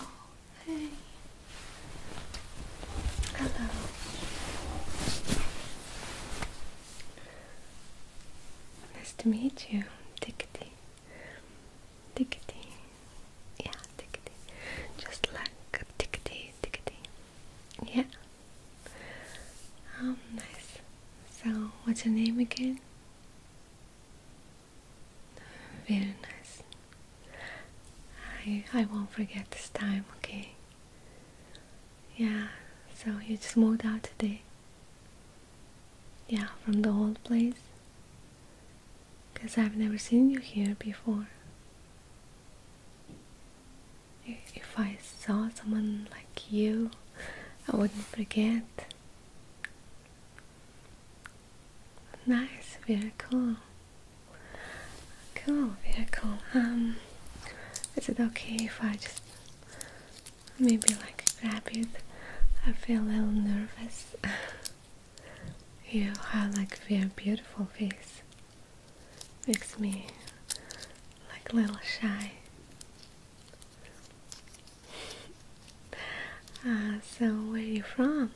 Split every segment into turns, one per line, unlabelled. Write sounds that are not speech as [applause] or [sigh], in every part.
Oh, hey. Hello. Nice to meet you, Tickety. Tickety. Yeah, Tickety. Just like Tickety, Tickety. Yeah. Um, nice. So, what's your name again? Very nice. I I won't forget this time, okay? Yeah, so you just moved out today. Yeah, from the old place. Because I've never seen you here before if I saw someone like you, I wouldn't forget. Nice, very cool. Cool, very cool. Um, is it okay if I just maybe like grab you? I feel a little nervous. [laughs] you have like very beautiful face. Makes me like a little shy. Uh, so where are you from?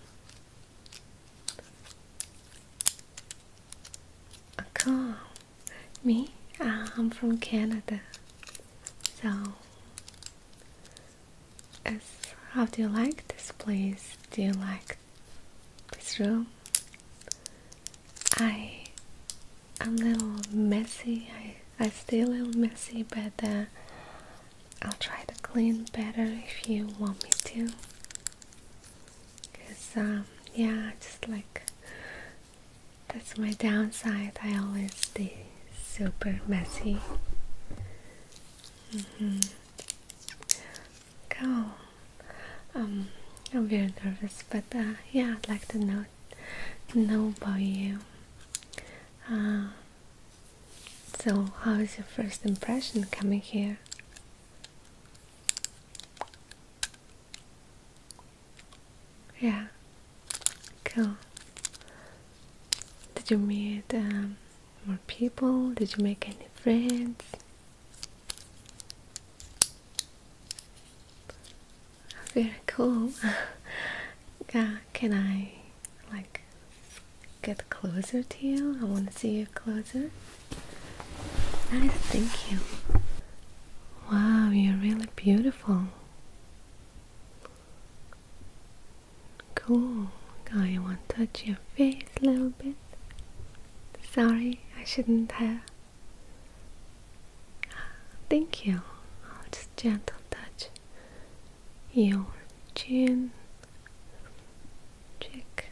Uh, cool. Me? Uh, I'm from Canada. So, how do you like this place? Do you like this room? know, I am a little messy. I I stay a little messy, but uh, I'll try to clean better if you want me to. Cause um, yeah, just like that's my downside. I always stay super messy. Mm -hmm go. Um, I'm very nervous, but uh, yeah, I'd like to know know about you. Uh, so, how is your first impression coming here? Yeah, cool. Did you meet um, more people? Did you make any friends? Very cool. yeah, [laughs] can I like get closer to you? I want to see you closer. Nice, thank you. Wow, you're really beautiful. Cool. I want to touch your face a little bit. Sorry, I shouldn't have. Thank you. just gentle touch your chin, cheek.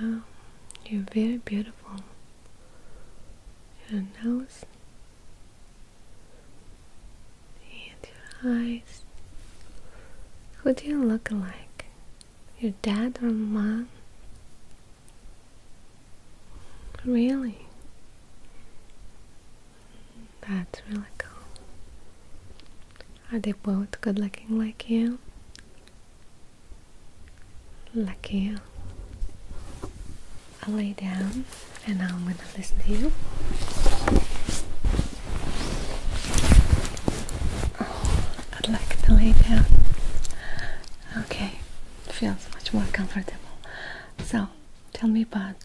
Wow, you're very beautiful. Your nose and your eyes. Who do you look like? Your dad or mom? Really? That's really cool. Are they both good looking like you? Lucky you. I'll lay down and I'm gonna listen to you. Oh, I'd like to lay down. Okay, feels much more comfortable. So, tell me about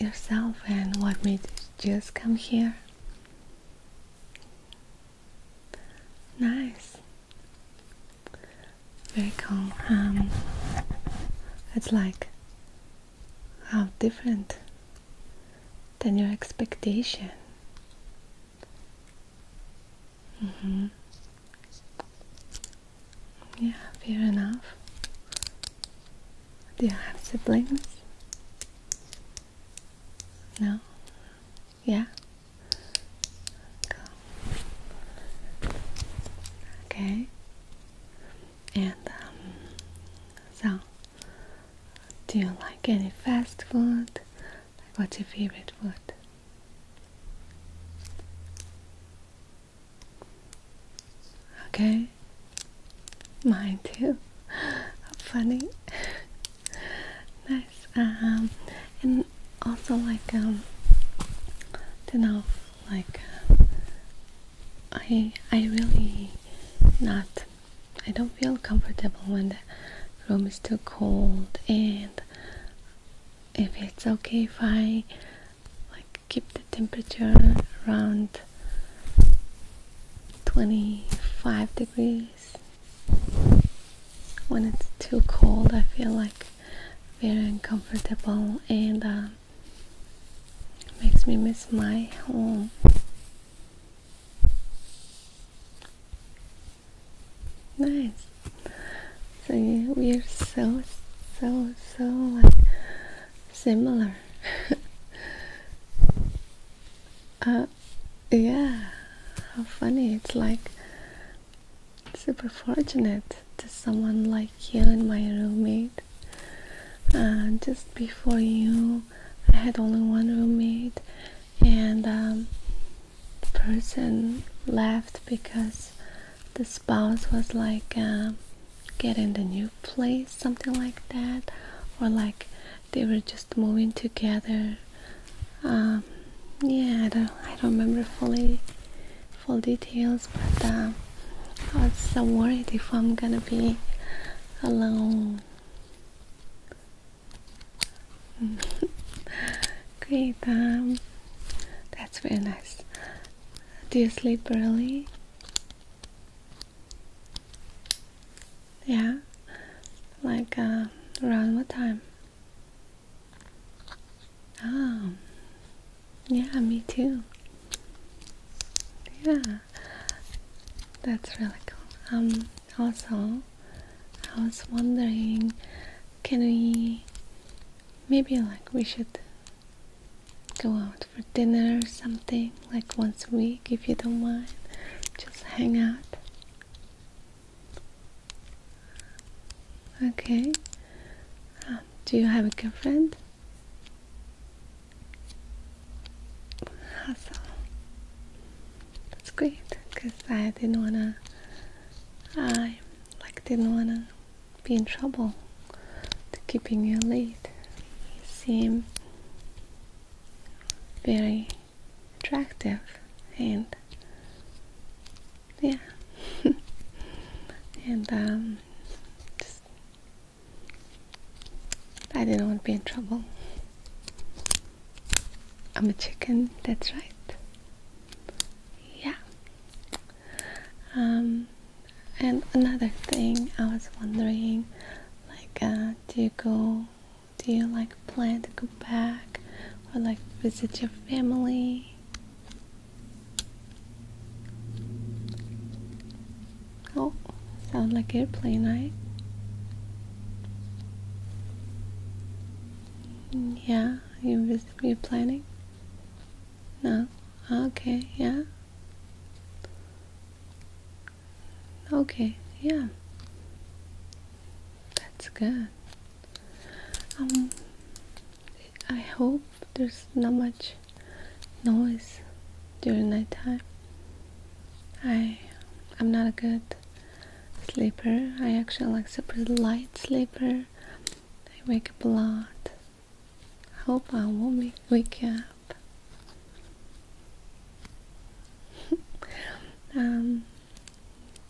yourself and what made you just come here. Nice. Very calm. Um, it's like how different than your expectation. Mm -hmm. Yeah, fair enough. Do you have siblings? No? Yeah? Cool. Okay. And um, so do you like any fast food? Like what's your favorite food? Okay. Mine too. [laughs] Funny. [laughs] nice. Um, and also like um, to know like I I really not I don't feel comfortable when the room is too cold and if it's okay if I like keep the temperature around 25 degrees when it's too cold I feel like very uncomfortable and uh, makes me miss my home Nice. So we are so so so like similar. [laughs] uh, yeah. How funny! It's like super fortunate to someone like you and my roommate. Uh, just before you, I had only one roommate, and um, the person left because the spouse was like um, getting the new place something like that or like they were just moving together um, yeah I don't, I don't remember fully full details but I was so worried if I'm gonna be alone Great, um, that's very nice. Do you sleep early? Yeah, like uh, around what time? Oh, yeah, me too. Yeah, that's really cool. Um, also, I was wondering, can we maybe like we should go out for dinner or something like once a week if you don't mind just hang out okay um, do you have a girlfriend awesome that's great because I didn't wanna I like didn't wanna be in trouble to keeping you late. You very attractive and yeah [laughs] and um just I didn't want to be in trouble I'm a chicken, that's right. Yeah. Um, and another thing I was wondering, like, uh, do you go, do you like plan to go back or like visit your family? Oh, sound like a airplane, right? Yeah, you you're planning? No. Okay, yeah. Okay, yeah. That's good. Um I hope there's not much noise during night time. I I'm not a good sleeper. I actually like super light sleeper. I wake up a lot. I hope I won't wake up. [laughs] Um,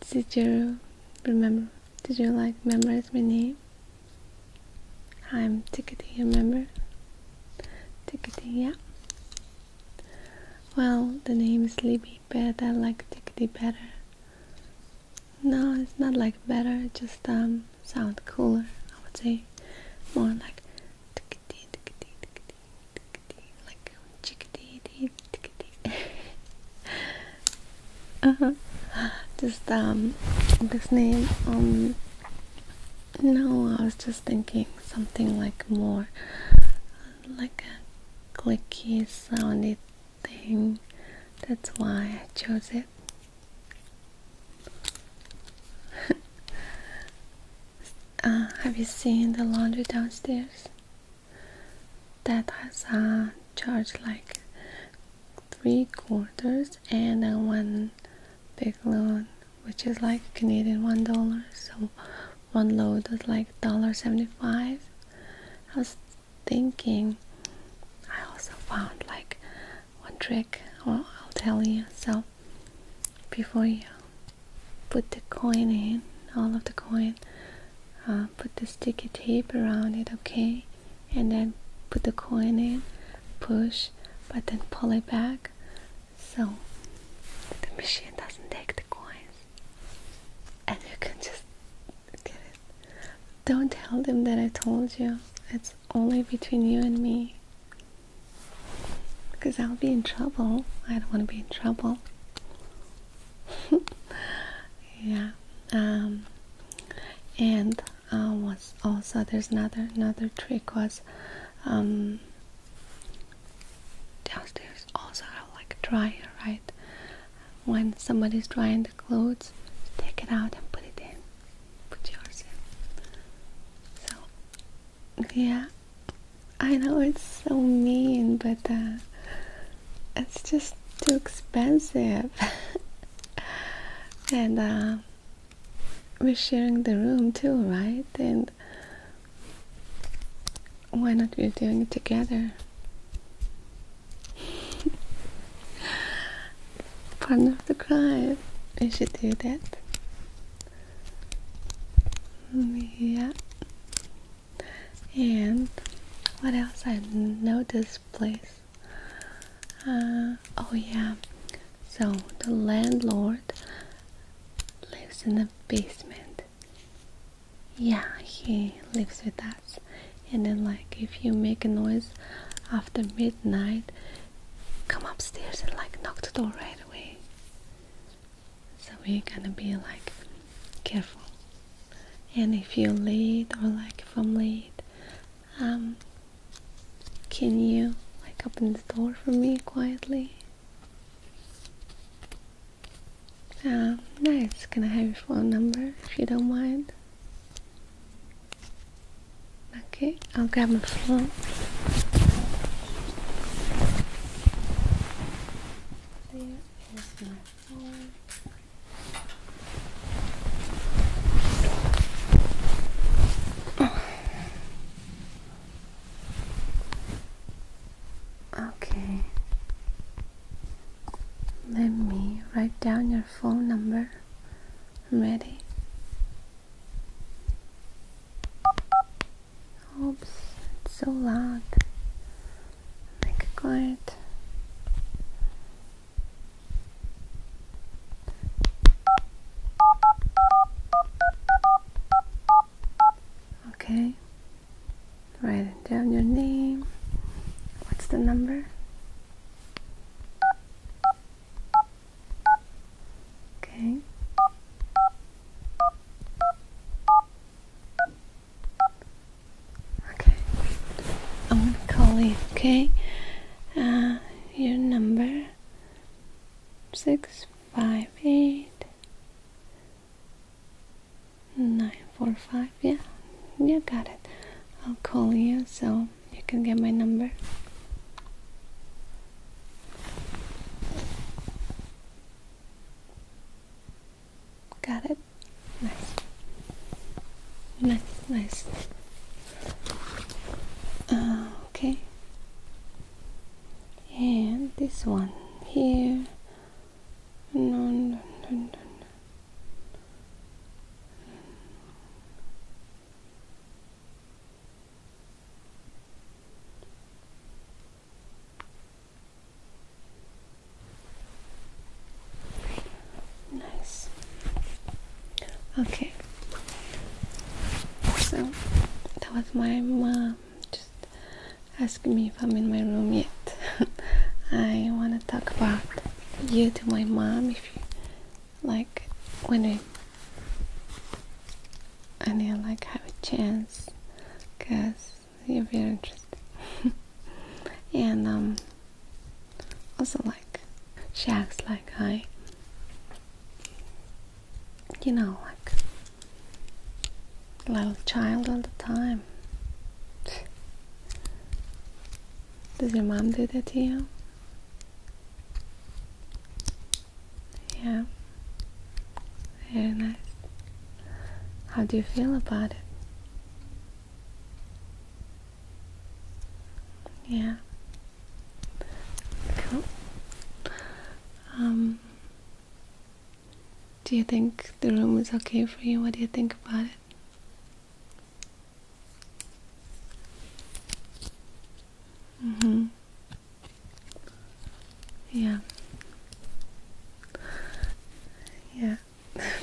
did you remember? Did you like memorize my name? I'm Tickety, remember? Tickety, yeah. Well, the name is Sleepy, but I like Tickety better. No, it's not like better, just um sound cooler, I would say. More like tickety tickety tickety tickety like chickadee [laughs] dee uh -huh. Just um this name um no I was just thinking something like more like a clicky sounded thing that's why I chose it [laughs] uh, have you seen the laundry downstairs? that has a charge like three quarters and one big loan which is like Canadian one dollar so one load was like $1.75 I was thinking I also found like one trick well, I'll tell you so before you put the coin in all of the coin uh, put the sticky tape around it okay and then put the coin in push but then pull it back so the machine doesn't take the coins and you can just get it. Don't tell them that I told you. It's only between you and me. Because I'll be in trouble. I don't want to be in trouble. [laughs] yeah. Um, and uh, was also there's another another trick was um, downstairs also have like dryer, right? When somebody's drying the clothes, take it out and put it in. Put yours in. So yeah. I know it's so mean, but uh, it's just too expensive. [laughs] and uh, we're sharing the room too, right? And why not we're doing it together? Pardon of the crime. We should do that. Yeah. And what else I know this place? Uh, oh yeah. So the landlord lives in the basement yeah he lives with us and then like if you make a noise after midnight come upstairs and like knock the door right away so we're gonna be like careful and if you're late or like if i'm late um can you like open the door for me quietly nice. Can I have your phone number if you don't mind? Okay, I'll grab my phone. Okay. Let me write down your phone number. ready. Oops, it's so loud. Make it quiet. Okay. Write down your name. What's the number? Okay. Okay. I'm gonna call you, okay? Uh, your number six five eight nine four five yeah you got it I'll call you so you can get my number got it nice nice nice okay and this one here no, no, Nice. Okay. So that was my mom. Um, just asking me if I'm in my room yet. [laughs] I want to talk about you to my mom if you like when I and I like have a chance because you're very interested [laughs] and um also like she acts like I you know like little child all the time. Does your mom do that to you? Yeah. Very nice. How do you feel about it? Yeah. Cool. Um, do you think the room is okay for you? What do you think about it? Mm-hmm. Yeah. Yeah.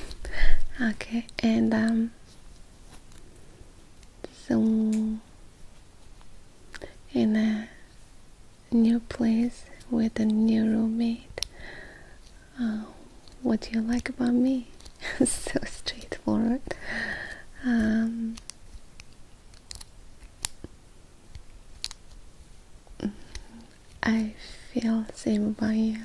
[laughs] okay, and um so in a new place with a new roommate Oh, what do you like about me? [laughs] so straightforward. Um, I feel same about you.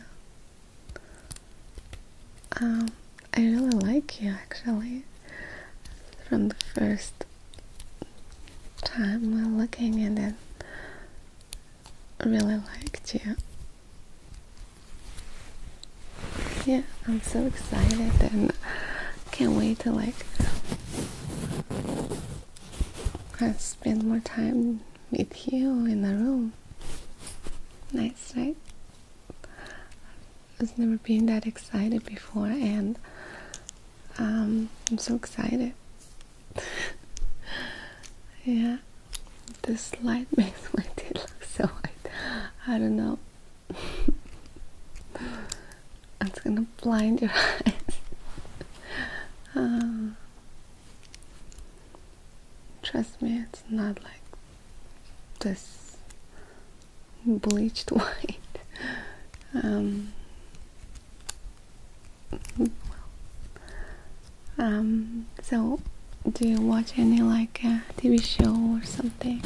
Um, I really like you actually. From the first time we're looking at it, really liked you. Yeah, I'm so excited and can't wait to like spend more time with you in the room. Nice, night. I've never been that excited before and um, I'm so excited. [laughs] yeah, this light [laughs] makes my teeth look so white. I don't know. [laughs] it's gonna blind your eyes. Uh, trust me, it's not like this bleached white. Um, um, so do you watch any like uh, TV show or something?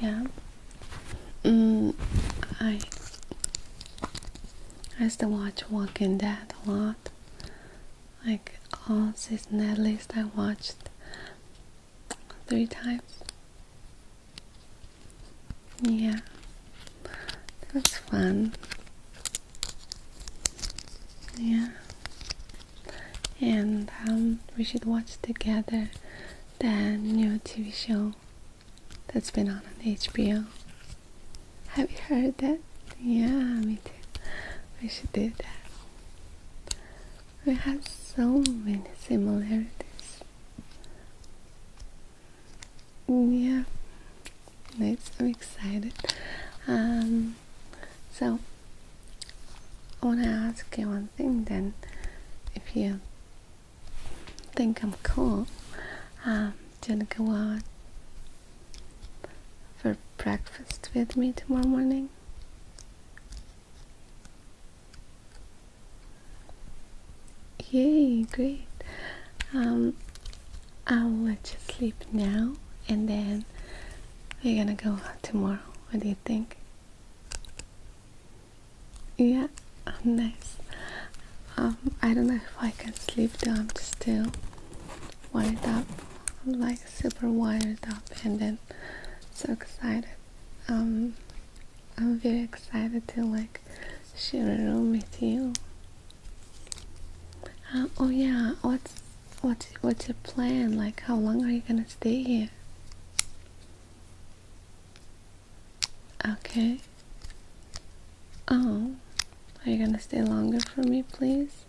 Yeah. Mm, I I used to watch Walking Dead a lot. Like all season at least I watched three times. Yeah, that's fun. Yeah, and um, we should watch together that new TV show that's been on on HBO. Have you heard that? Yeah, me too. We should do that. We have so many similarities. Yeah, nice. I'm excited. Um, so I want to ask you one thing then. If you think I'm cool, um, do you want to go out for breakfast with me tomorrow morning? Yay, great. Um, I'll let you sleep now and then we're gonna go out tomorrow. What do you think? Yeah, oh, nice. Um, I don't know if I can sleep though, I'm still wired up. I'm like super wired up and then so excited. Um, I'm very excited to like share a room with you. Uh, oh yeah, what's what's what's your plan? Like, how long are you gonna stay here? Okay. Oh, are you gonna stay longer for me, please?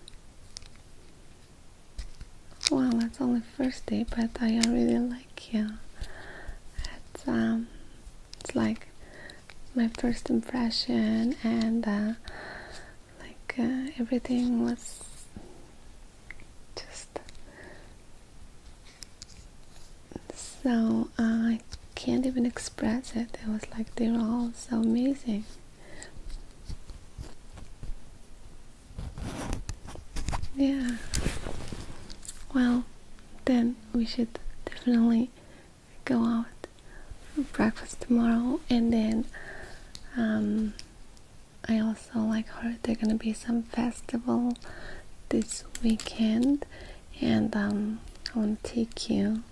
Well, that's only first day, but I already like you. It's um, it's like my first impression and uh, like uh, everything was just so uh, I can't even express it. It was like they are all so amazing. Yeah. Well, then we should definitely go out breakfast tomorrow and then um, I also like heard there gonna be some festival this weekend and um, I wanna take you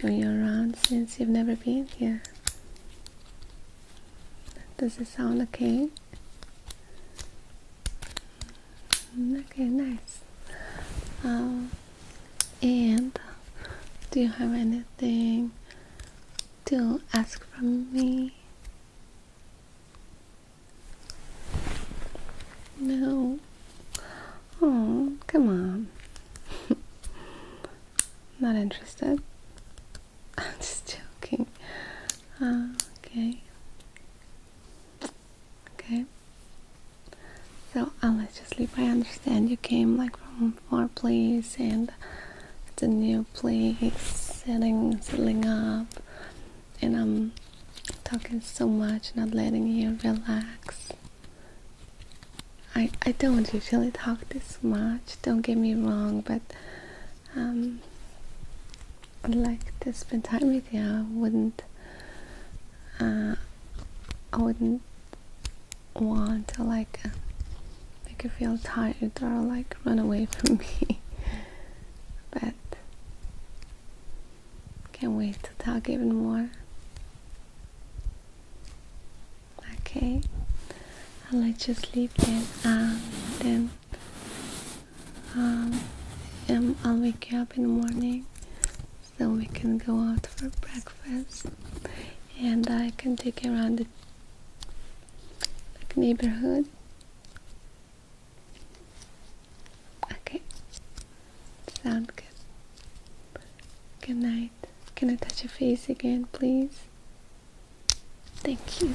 show you around since you've never been here. Does it sound okay? Okay, nice. Um, and do you have anything to ask from me? No. Oh, come on. [laughs] Not interested. [laughs] I'm just joking. Uh, okay. Okay. So I let's just leave. I understand you came like from far place and it's a new place, setting, settling up, and I'm talking so much, not letting you relax. I I don't usually talk this much. Don't get me wrong, but um, would like to spend time with you. I wouldn't. Uh, I wouldn't want to like uh, make you feel tired or like run away [laughs] from me. but can't wait to talk even more. Okay, I'll let you sleep then. Um, then um, um, I'll wake you up in the morning so we can go out for breakfast and I can take you around the neighborhood okay sound good good night can I touch your face again please thank you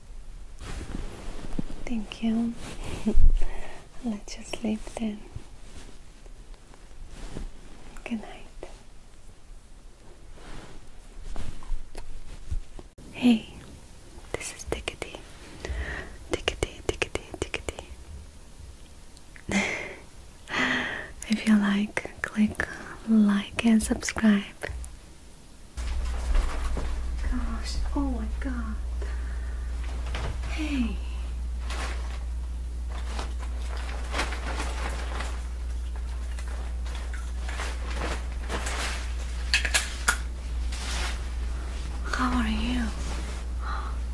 Thank you. [laughs] Let you sleep then. Good night. Hey, this is Tickety. Tickety, tickety, tickety. [laughs] if you like, click like and subscribe. Gosh, oh my god. Hey. How are you? [gasps]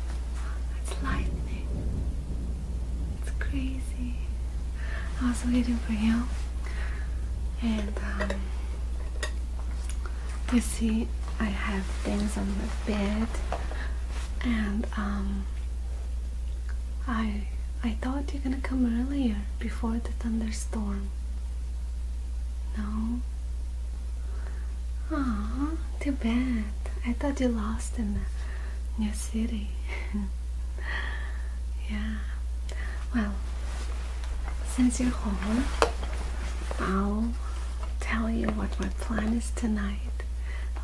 It's lightning. It's crazy. I was waiting for you. And um you see, I have things on the bed, and um, I I thought you're gonna come earlier before the thunderstorm. No. Ah, too bad. I thought you lost in the new city. [laughs] yeah. Well, since you're home, I'll tell you what my plan is tonight,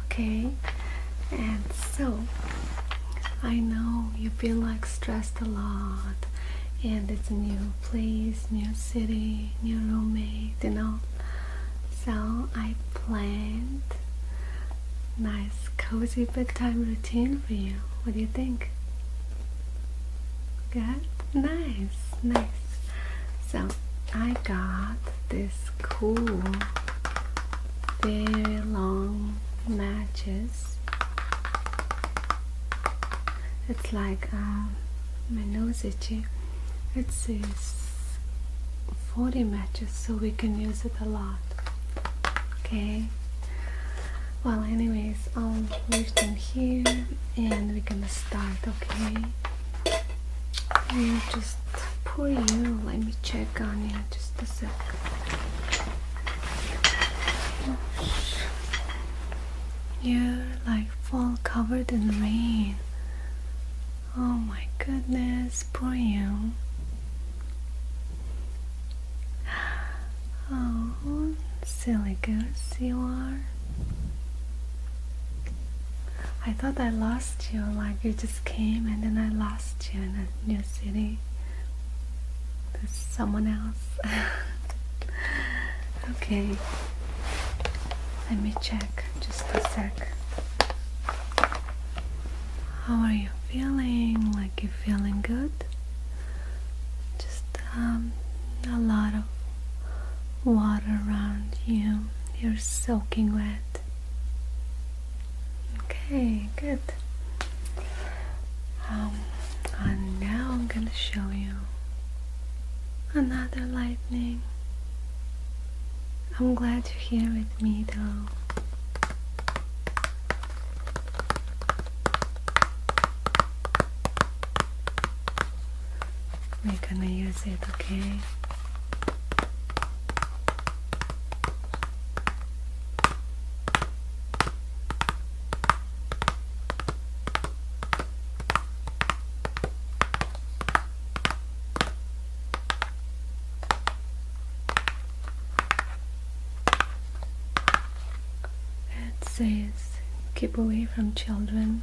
okay? And so, I know you feel like stressed a lot, and it's a new place, new city, new roommate, you know. So, I planned nice cozy bedtime routine for you. What do you think? Good, nice, nice. So I got this cool, very long matches. It's like um, my nose itchy. It says 40 matches, so we can use it a lot. Okay. Well, anyways, I'll leave them here, and we're gonna start, okay? And just pour you. Let me check on you just a sec. You're like fall covered in rain. Oh my goodness, poor you. [gasps] Oh, silly goose you are. I thought I lost you, like you just came and then I lost you in a new city There's someone else. [laughs] okay, let me check just a sec. How are you feeling? Like you feeling good? Just um, a lot of water around you. You're soaking wet. Okay, good. Um, and now I'm gonna show you another lightning. I'm glad you're here with me though. We're gonna use it, okay? It says keep away from children.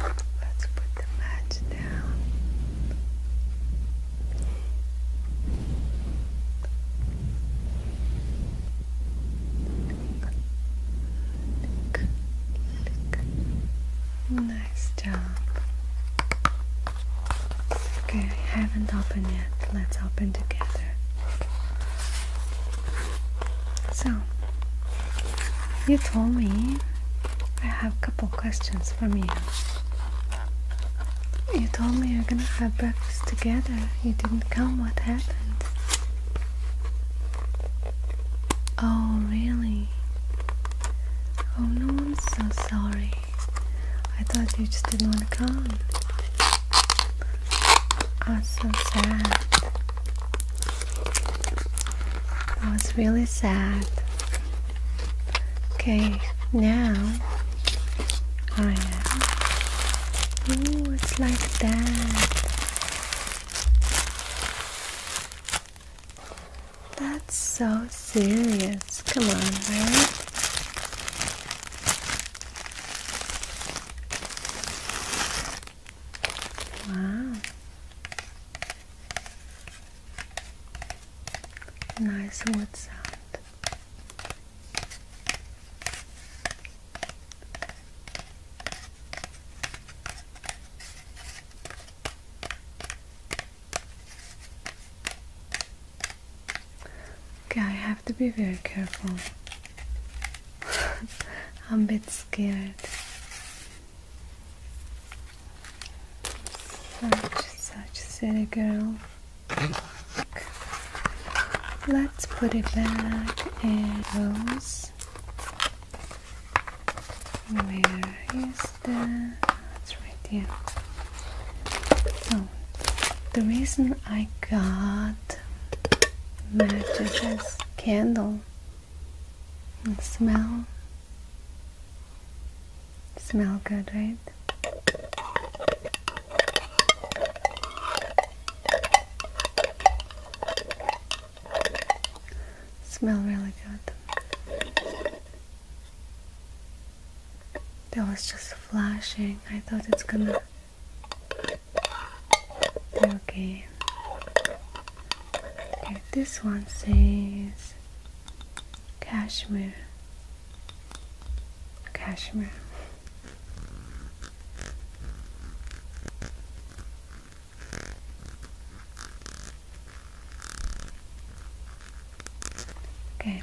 Let's put the match down. Look, look. Nice job. Okay, I haven't opened yet. Let's open together. So, you told me I have a couple questions for you. You told me we are gonna have breakfast together. You didn't come. What happened? Oh, really? Oh no, I'm so sorry. I thought you just didn't want to come. I'm ah, so sad. That was really sad. Okay, now I am. it's like that. That's so serious. Come on, right? Wow. Nice wood sound. Okay, I have to be very careful. [laughs] I'm a bit scared. Such, such silly girl. Let's put it back in rows. Where is that right here. So, oh, the reason I got matches candle smell. Smell good, right? Smell really good. That was just flashing. I thought it's gonna okay. Okay, this one says cashmere. Cashmere. Okay,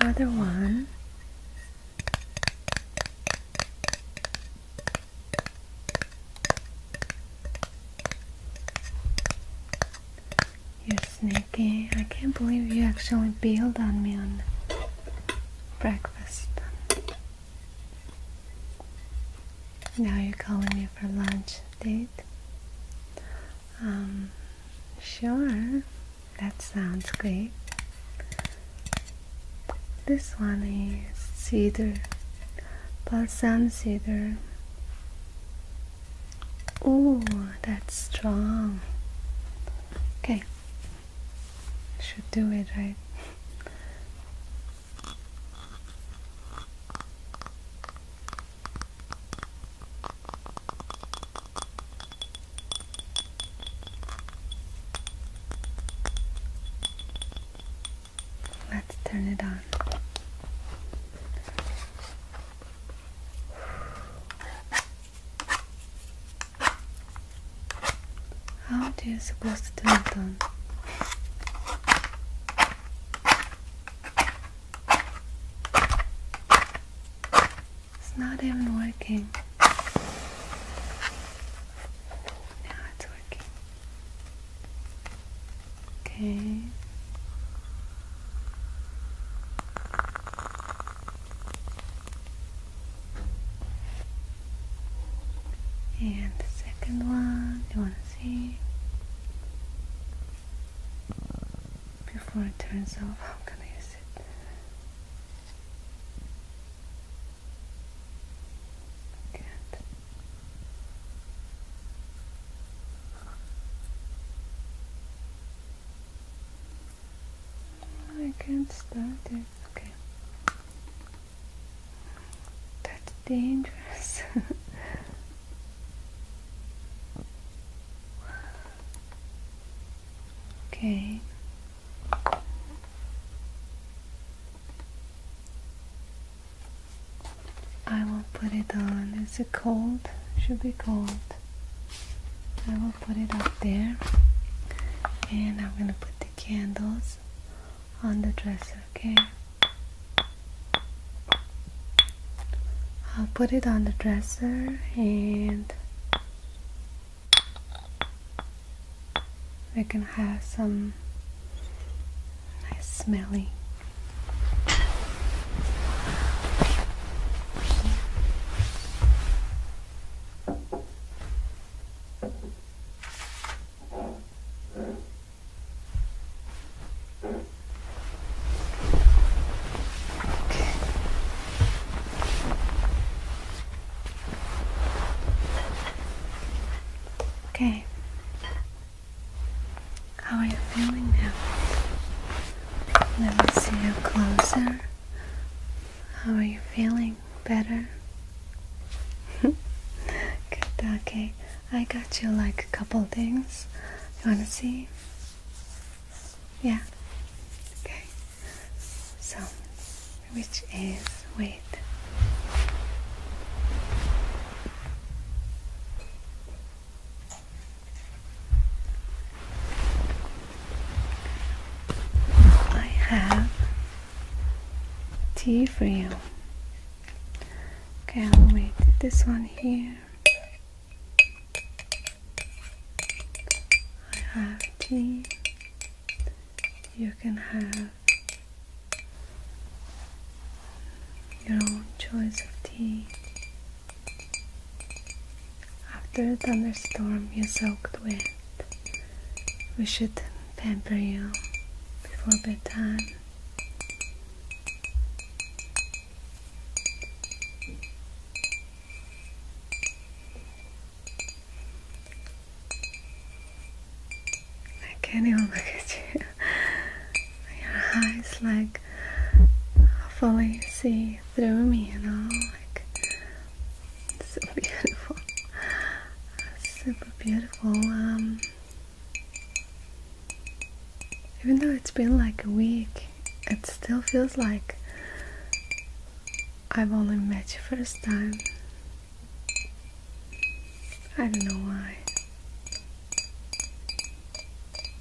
other one. You're sneaky. I can't believe you actually bailed on me on breakfast. Now you're calling me for lunch date. Um, sure. That sounds great. This one is cedar, balsam cedar. Oh, that's strong. Okay. Should do it, right? Let's turn it on. How do you supposed to turn it on? It's not even working.
Now it's working. Okay.
And the second one, you want to see? Before it turns off, I'm going use it. Good. I can't start it. Okay. That's dangerous. [laughs] okay. I will put it on. It's a cold, should be cold. I will put it up there and I'm gonna put the candles on the dresser, okay? I'll put it on the dresser and we can have some Nice smelly. Okay. How are you feeling now? Let me see you closer. How are you feeling? Better? [laughs] Good, okay. I got you like a couple things. You wanna see? Yeah. Okay. So, which is, wait. I have tea for you. Okay, I'll wait this one here. I have tea. You can have your own choice of tea. After the thunderstorm you are soaked wet, we should pamper you before bedtime. I can't even look at you your eyes like fully see through me, you know, like it's so [laughs] beautiful, super beautiful. Um, even though it's been like a week, it still feels like I've only met you first time. I don't know why. [laughs]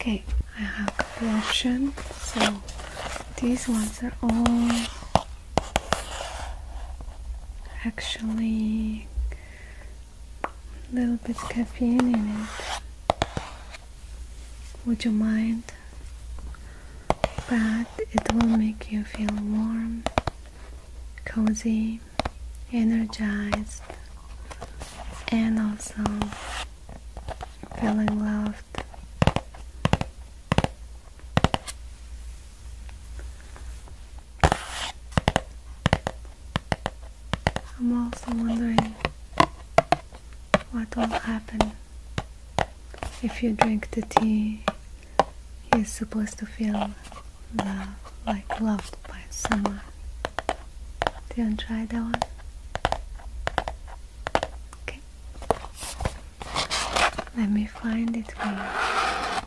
okay, I have a couple options. So these ones are all actually a little bit caffeine in it would you mind but it will make you feel warm cozy energized and also feeling loved I'm also wondering what will happen if you drink the tea. He's supposed to feel love, like loved by someone. Do you want try that one? Okay. Let me find it for you.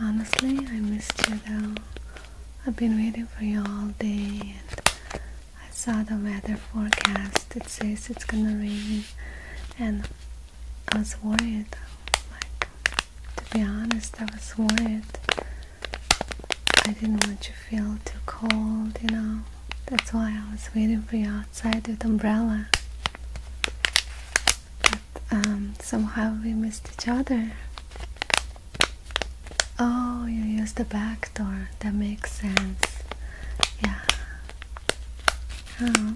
Honestly, I missed you though. I've been waiting for you all day and I saw the weather forecast. It says it's gonna rain and I was worried. Like to be honest, I was worried. I didn't want you to feel too cold, you know. That's why I was waiting for you outside with umbrella. But um, somehow we missed each other. Oh, you used the back door. That makes sense. Yeah. Oh.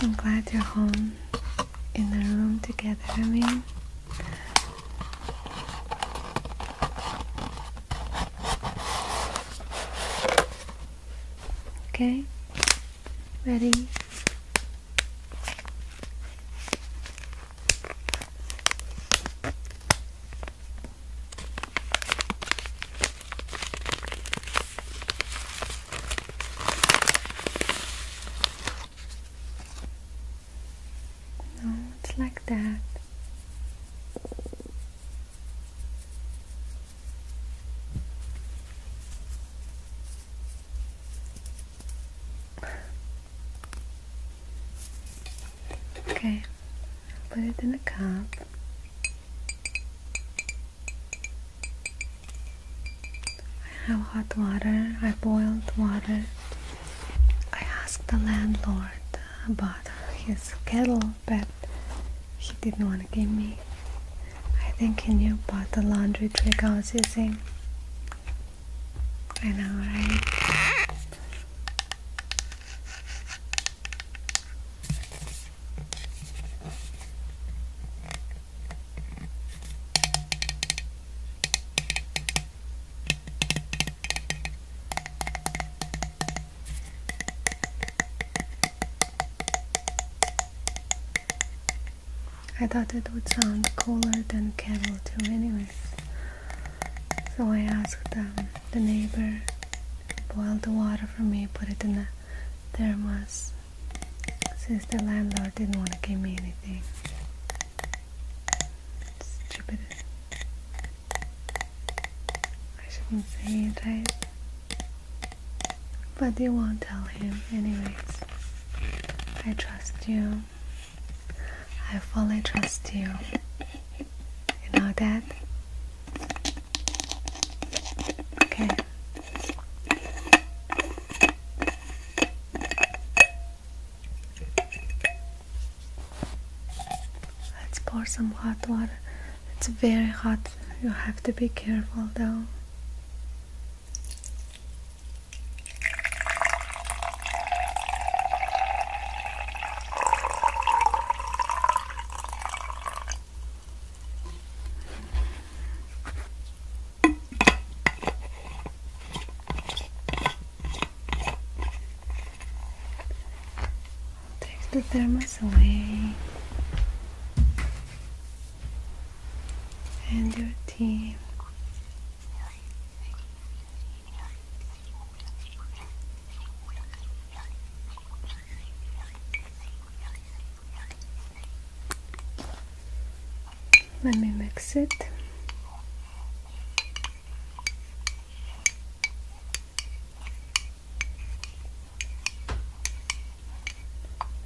I'm glad you're home in the room together. I mean.
Okay? Ready?
No, it's like that. Okay, put it in a cup. I have hot water, I boiled water. I asked the landlord about his kettle back that he didn't want to give me. I think he knew about the laundry trick I was using. I know, right? I thought it would sound cooler than kettle too anyways. So I asked um, the neighbor boil the water for me, put it in a thermos since the landlord didn't want to give me anything. Stupid. I shouldn't say it, but you won't tell him, anyways. I trust you. I fully trust you. You know that? Okay. Let's pour some hot water. It's very hot you have to be careful though. Take the thermos away and your tea. Let me mix it.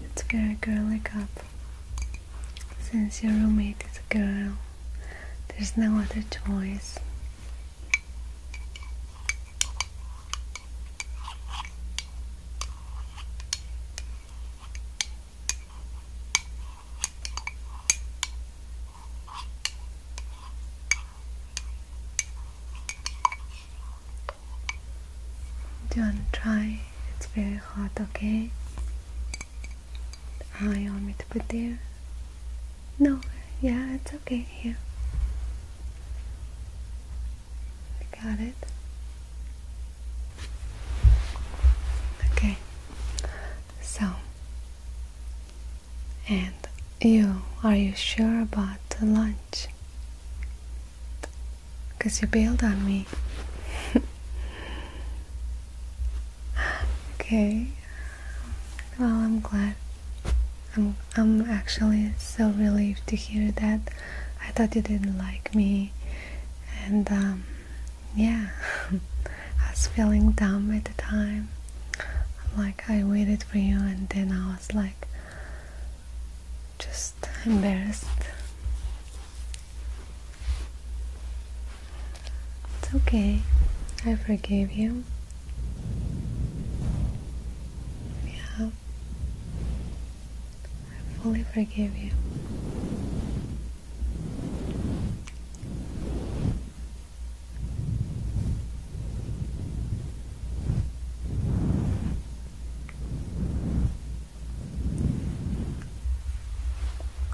It's very girly cup. Since your roommate is a girl, there's no other choice. Do you want to try? It's very hot, okay? I ah, want me to put there? No, yeah, it's okay, here. I got it. Okay, so, and you, are you sure about the lunch? because you bailed on me. [laughs] okay. Well, I'm glad. I'm I'm actually so relieved to hear that. I thought you didn't like me, and um, yeah, [laughs] I was feeling dumb at the time. I'm like I waited for you, and then I was like, just embarrassed. It's okay, I forgive you. Yeah, I fully forgive you.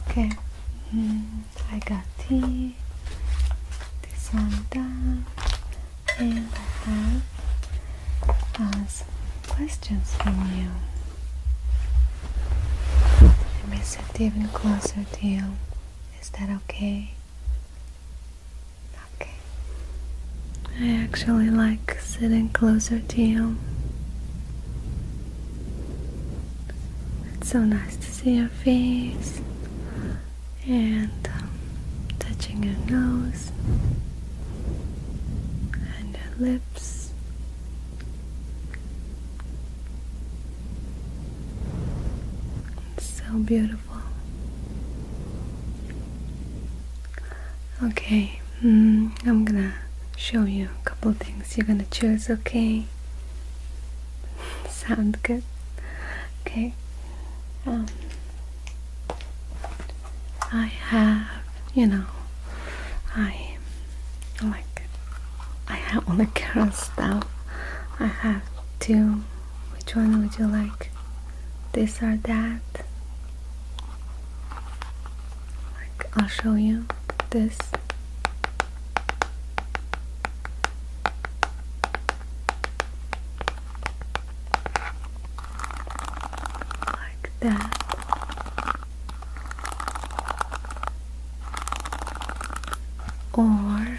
Okay, hmm, I got tea, this one done, and I have uh, some questions for you. Let me sit even closer to you. Is that okay? Okay. I actually like sitting closer to you. It's so nice to see your face and um, touching your nose and your lips. It's so beautiful. Okay, mm, I'm gonna show you a couple things you're gonna choose, okay? [laughs] Sound good? Okay. Um, I have, you know, I like, I have all the girl stuff. I have two. Which one would you like? This or that? Like, I'll show you this.
Like that. Or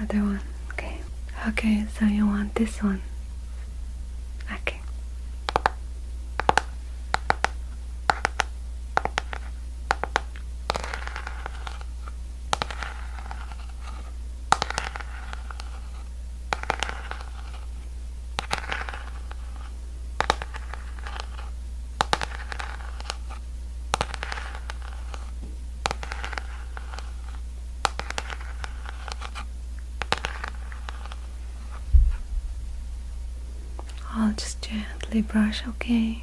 Other one, okay. Okay, so you want this one. Okay. I'll just gently brush, okay?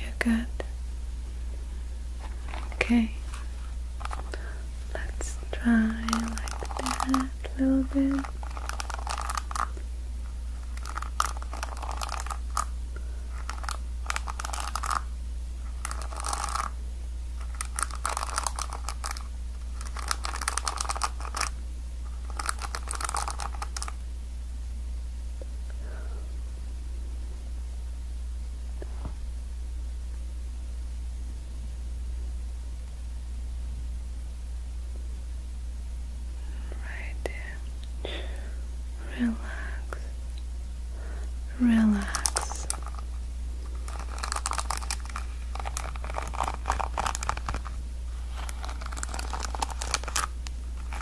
You're good. Okay. Let's try like that a little bit. Right there. Relax. Relax.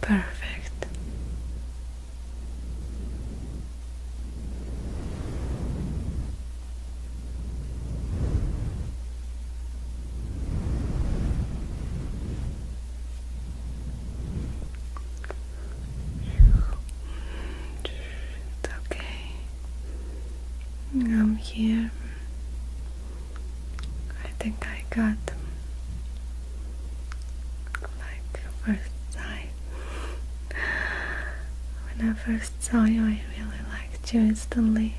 Perfect. It's okay. I'm here. I think I got like first sight. when I first saw you, I really liked you instantly.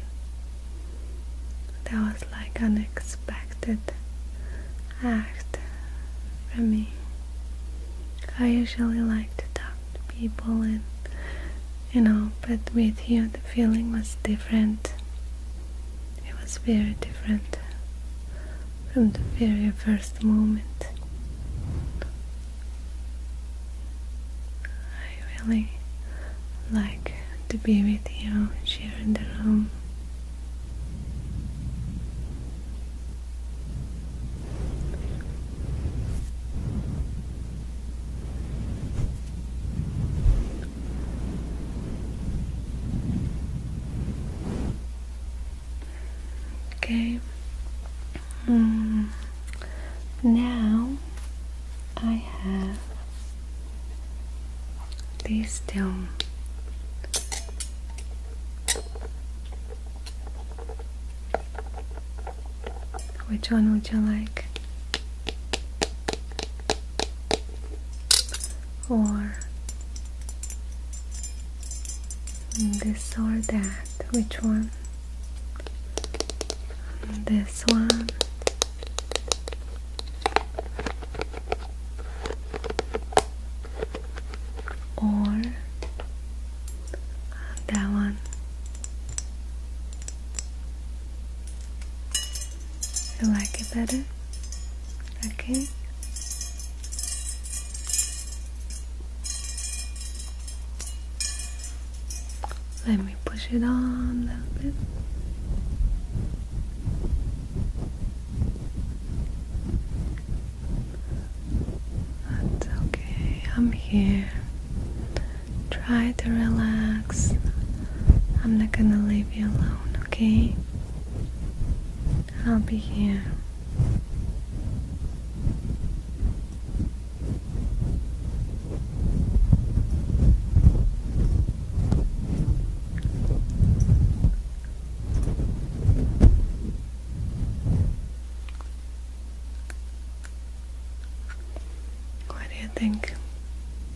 That was like unexpected act for me. I usually like to talk to people and you know, but with you the feeling was different it was very different from the very first moment. I really like to be with you, sharing the room. Okay. Um, now I have this down. Which one would you like? or this or that. Which one? This one. Or that one. You like it better? Okay. Let me push it on a little bit. That's okay, I'm here. Try to relax. I'm not gonna leave you alone, okay? I'll be here. What do you think?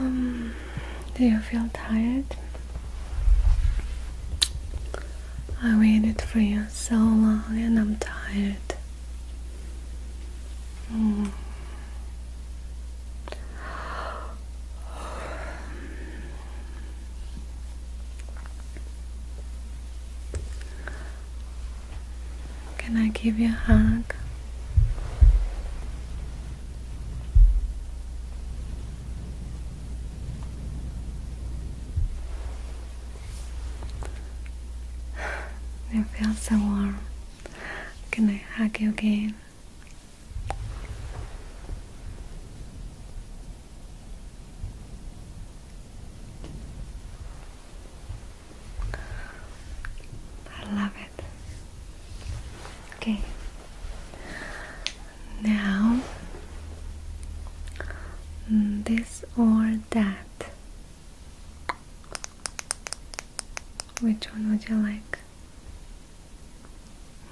Um, do you feel tired? I waited for you so long and I'm tired. Can I give you a hug? It feels so warm. Can I hug you again? I love it. Okay. Now, this or that. Which one would you like?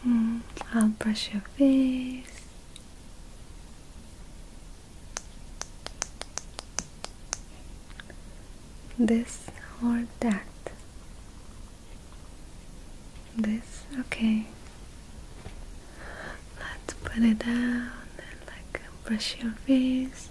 Mm, I'll brush your face. This or that? This? Okay. Let's put it down and like brush your face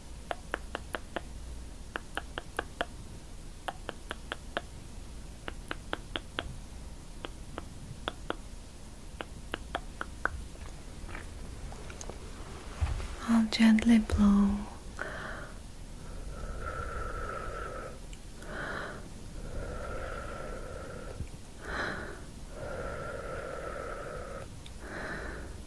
I'll gently blow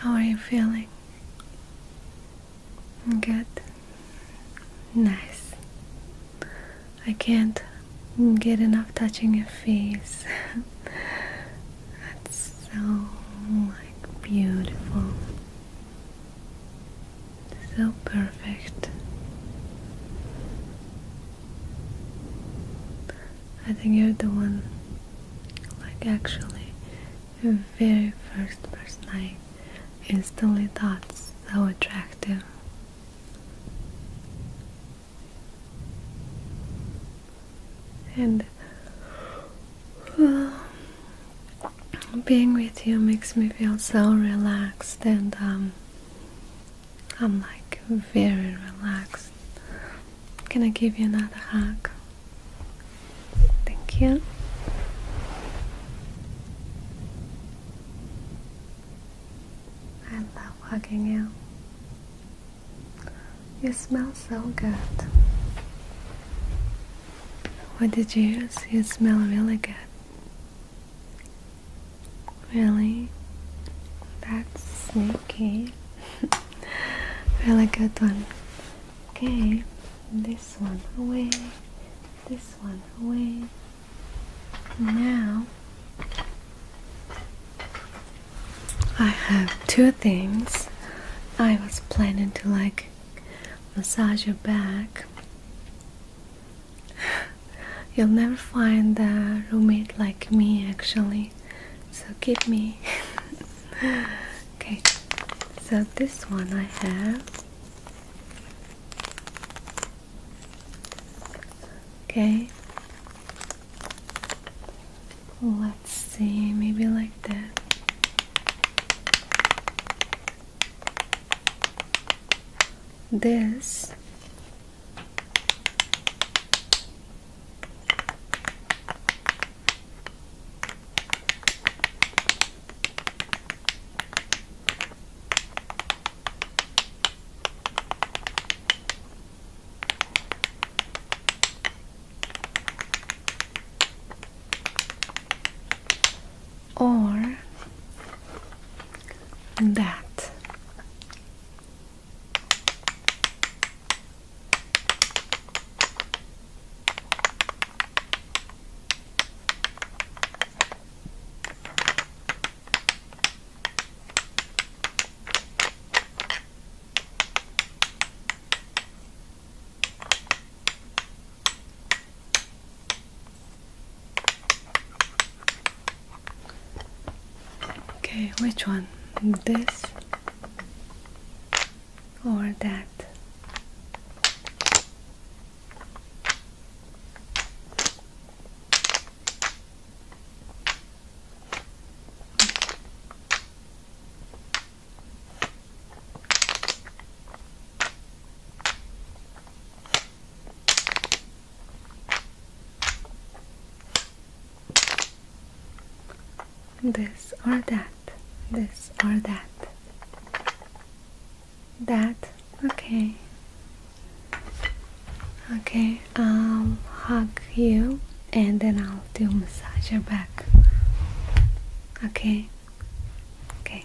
How are you feeling? Good. Nice. I can't get enough touching your face. [laughs] That's so like beautiful. So perfect. I think you're the one like actually the very first person I instantly thought so attractive and being with you makes me feel so relaxed and um, I'm like very relaxed. Can I give you another hug? Thank you. I love hugging you. You smell so good. What did you use? You smell really good. Really? That's sneaky. [laughs] really good one. Okay, this one away, this one away. Now I have two things. I was planning to like massage your back. [sighs] You'll never find a roommate like me actually. So give me. [laughs] okay. So this one I have. Okay. Let's see, maybe like this. This or that Okay, which one? This or that? This or that, this or that. That, okay. Okay, I'll hug you and then I'll do massage your back. Okay? Okay.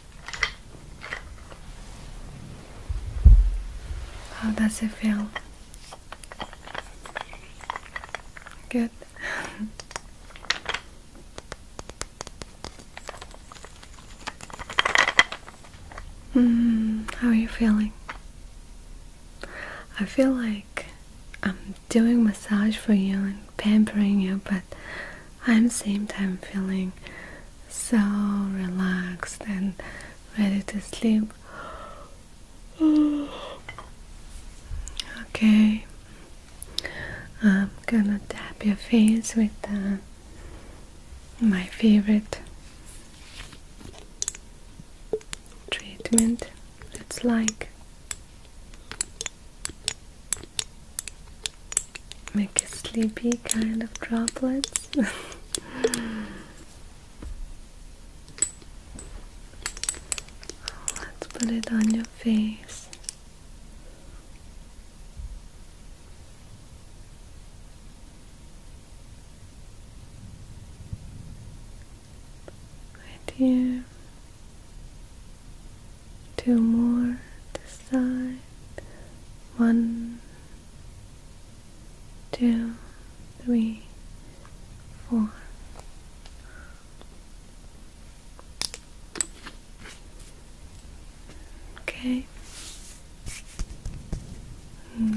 How does it feel? Good. [laughs] Hmm, how are you feeling? I feel like I'm doing massage for you and pampering you, but I'm same time feeling so relaxed and ready to sleep. [sighs] Okay, I'm gonna dab your face with uh, my favorite treatment. It's like make a sleepy kind of droplets. [laughs] Let's put it on your face. Right here two more to side, one, two, three, four. Okay,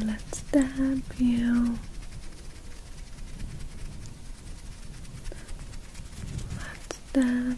let's stab you.
Let's stab.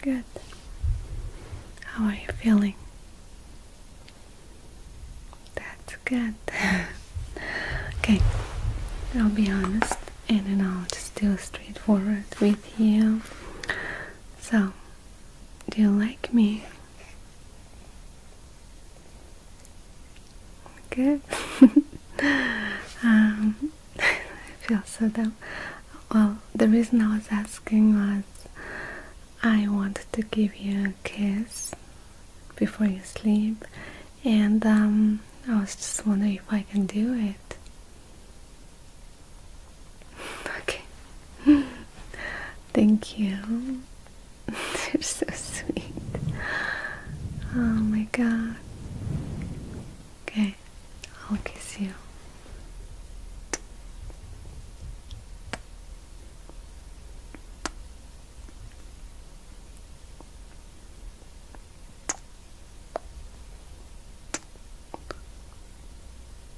Good. How are you feeling? That's good. [laughs] okay, I'll be honest and then I'll just do straightforward with you. So, do you like me? Good. [laughs] Um, [laughs] I feel so dumb. Well, the reason I was asking was I wanted to give you a kiss before you sleep, and um, I was just wondering if I can do it. Okay. [laughs] Thank you. [laughs] You're so sweet. Oh my god. Okay, I'll kiss you.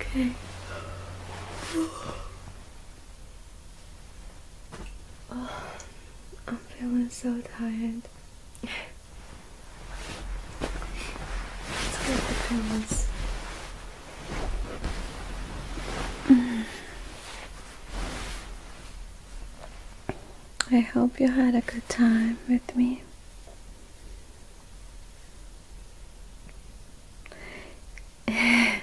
Okay. Oh, I'm feeling so tired. Let's get the pills.
Mm. I hope you had a good time with me. [laughs] I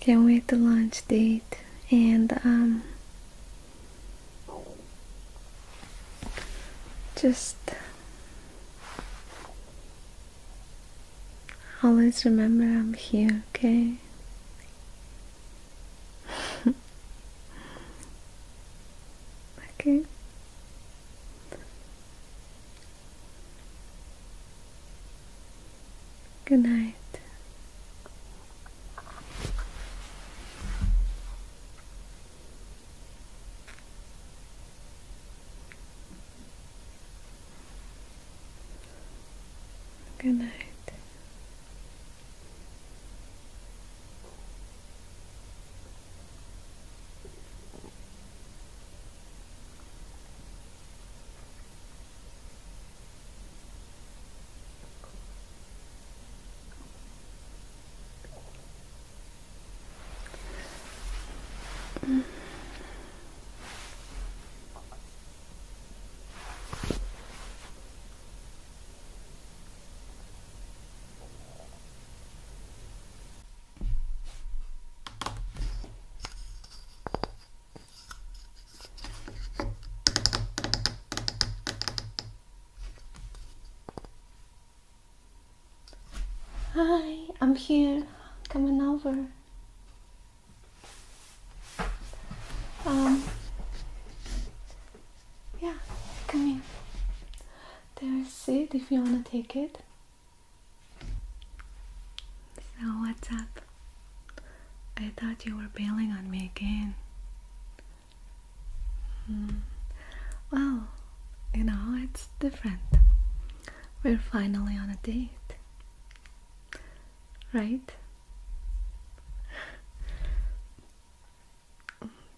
can't wait to lunch date and um just always remember I'm here, okay? okay. Good night. Good night. Mm. Hi, I'm here. Coming over. Um, yeah, come here. There's it if you want to take it. So, what's up? I thought you were bailing on me again. Hmm. Well, you know, it's different. We're finally on a date. Right?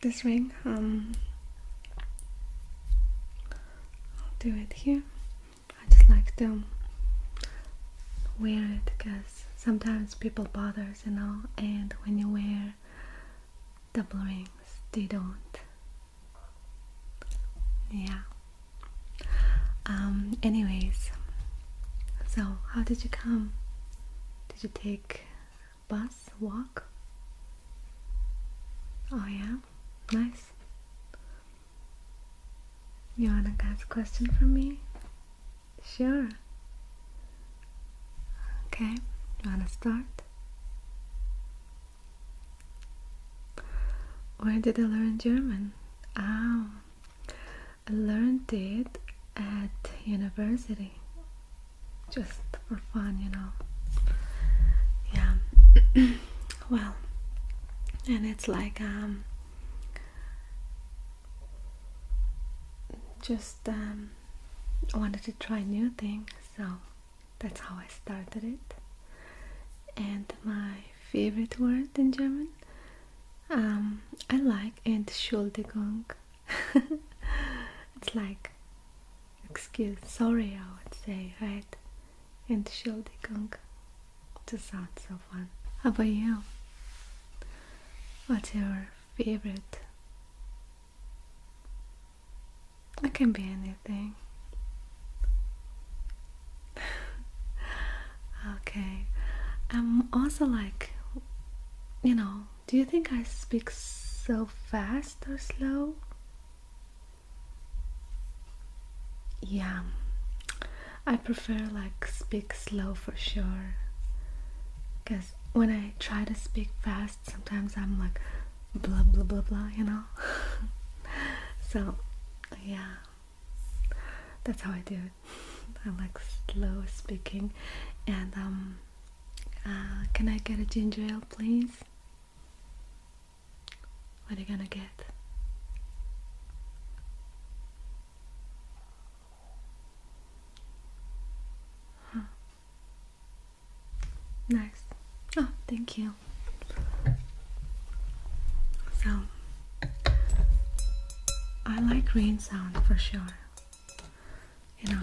this ring um I'll do it here I just like to wear it because sometimes people bothers you know and when you wear double rings they don't yeah um, anyways, so how did you come? Did you take bus, walk? Oh yeah, nice. You wanna ask a question from me? Sure. Okay, you wanna start? Where did I learn German? Oh, I learned it at university just for fun, you know. Yeah, [clears throat] well, and it's like, um, just um, wanted to try new things, so that's how I started it. And my favorite word in German um, I like and Entschuldigung. [laughs] it's like excuse, sorry, I would say, right? And Entschuldigung. To sound so fun. How about you? What's your favorite? It can be anything. [laughs] okay. I'm also like, you know, do you think I speak so fast or slow? Yeah, I prefer like speak slow for sure. Because when I try to speak fast, sometimes I'm like blah blah blah blah, you know? [laughs] so, yeah, that's how I do I like slow speaking. And um, uh, can I get a ginger ale, please? What are you gonna get? Huh. Nice. Oh, thank you. So I like rain sound for sure. You know,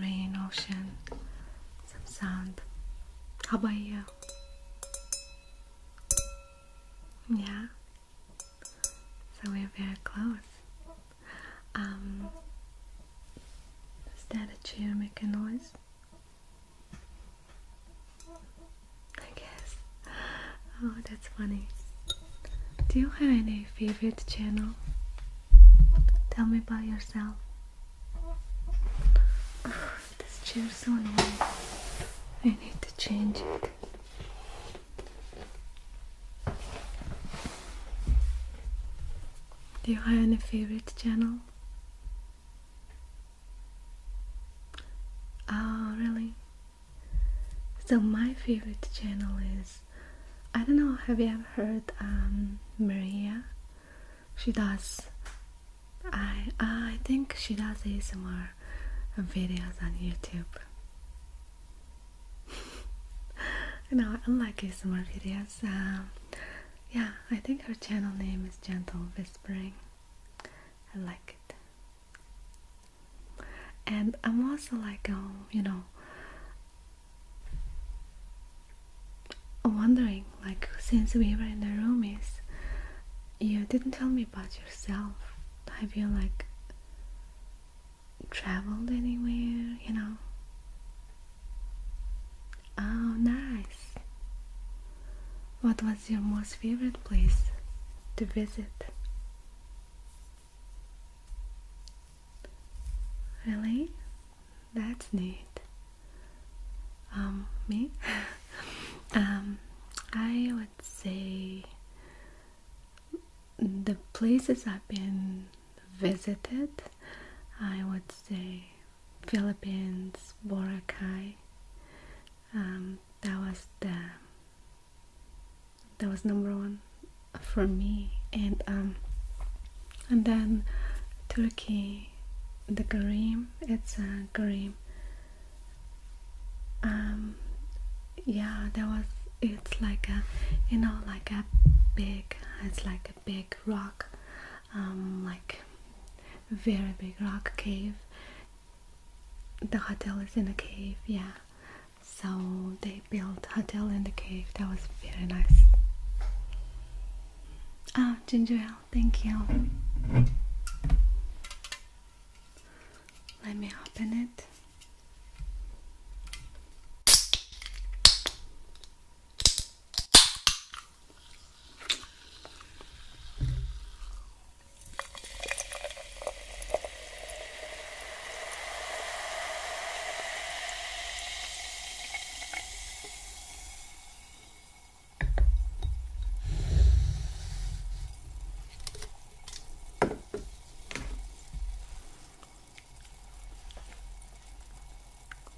rain, ocean, some sound. How about you? Yeah. So we're very close. Um, is that a chair making noise? I guess. Oh, that's funny. Do you have any favorite channel? Tell me about yourself. [sighs] this chair's so annoying. I need to change it. Do you have any favorite channel? Oh, really? So my favorite channel is I don't know, have you ever heard um, Maria? She does I I think she does ASMR videos on YouTube. I [laughs] know I like ASMR videos. Um, yeah, I think her channel name is Gentle Whispering. I like it and I'm also like um, you know wondering like since we were in the room, is you didn't tell me about yourself I feel like traveled anywhere you know oh nice what was your most favorite place to visit Really? That's neat. Um, me? [laughs] um, I would say the places I've been visited, I would say Philippines, Boracay. Um, that was the that was number one for me and um and then Turkey the Karim it's a Karim um yeah that was it's like a you know like a big it's like a big rock um like very big rock cave the hotel is in a cave yeah so they built hotel in the cave. That was very nice. Ah, ginger ale, thank you. Let me open it.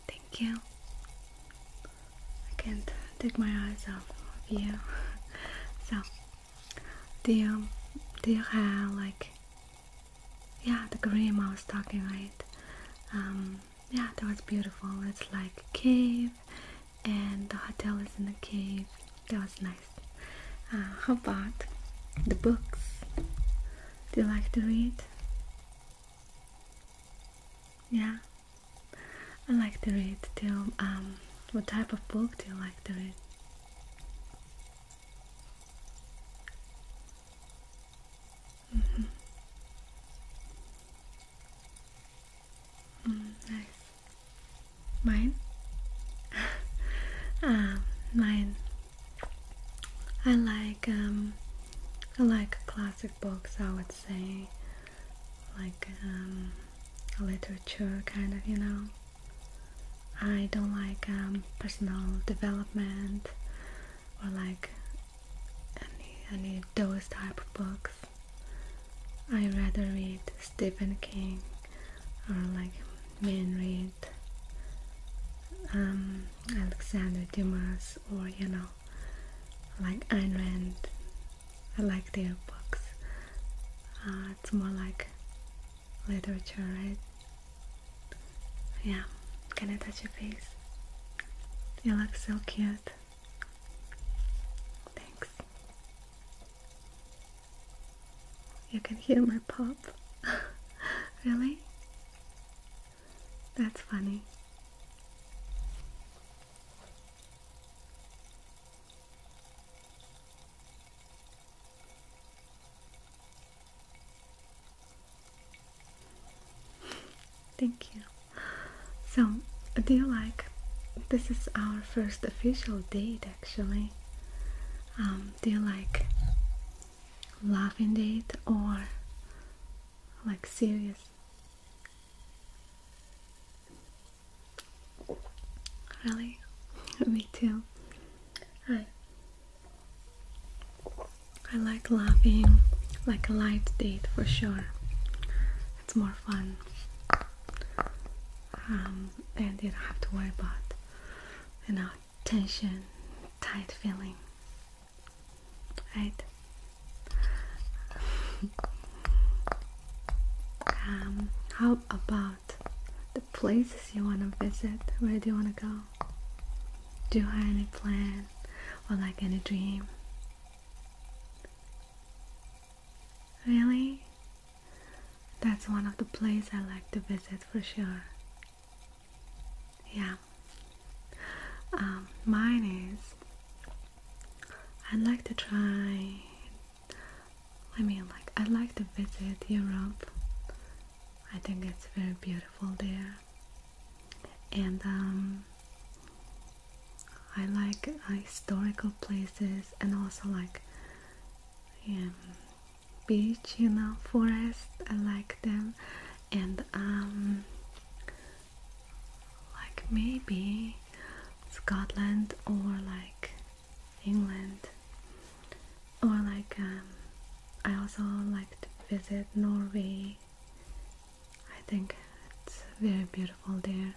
Thank you. I can't take my eyes off you. [laughs] so they um, they have like yeah the green I was talking right. Um, yeah, that was beautiful. It's like a cave, and the hotel is in the cave. That was nice. Uh, how about the books? Do you like to read? Yeah, I like to read too. Um, what type of book do you like to read? Mm -hmm. nice. Mine? [laughs] ah, mine. I like um, I like classic books. I would say, like um, literature, kind of, you know. I don't like um, personal development or like any any those type of books. I rather read Stephen King or like Man Read, um, Alexander Dumas or you know like Ayn Rand. I like their books. Uh, it's more like literature, right? Yeah, can I touch your face? You look so cute. Thanks. You can hear my pop. [laughs] really? That's funny. Thank you. So, do you like? This is our first official date, actually. Um, do you like laughing date or like serious? Really, [laughs] me too. Hi. I like laughing like a light date for sure. It's more fun. Um, and you don't have to worry about you know tension, tight feeling. Right? [laughs] um, how about the places you want to visit. Where do you want to go? Do you have any plan or like any dream? Really? That's one of the places I like to visit for sure. Yeah. Um, mine is I'd like to try I mean, like, i like to visit Europe. I think it's very beautiful there. And um, I like historical places and also like um, beach, you know, forest. I like them. And um, like maybe Scotland or like England or like um, I also like to visit Norway I think it's very beautiful there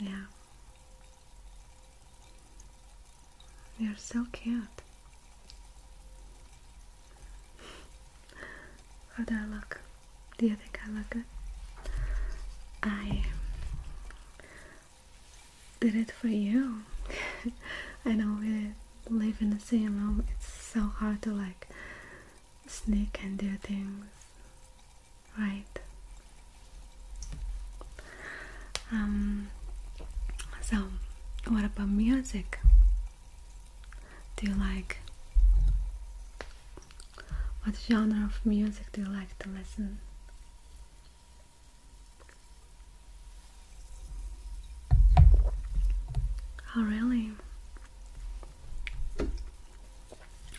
yeah you're so cute [laughs] how do I look? do you think I look good? I did it for you. [laughs] I know we live in the same room, it's so hard to like sneak and do things, right? Um, so, what about music? Do you like? What genre of music do you like to listen? Oh, really?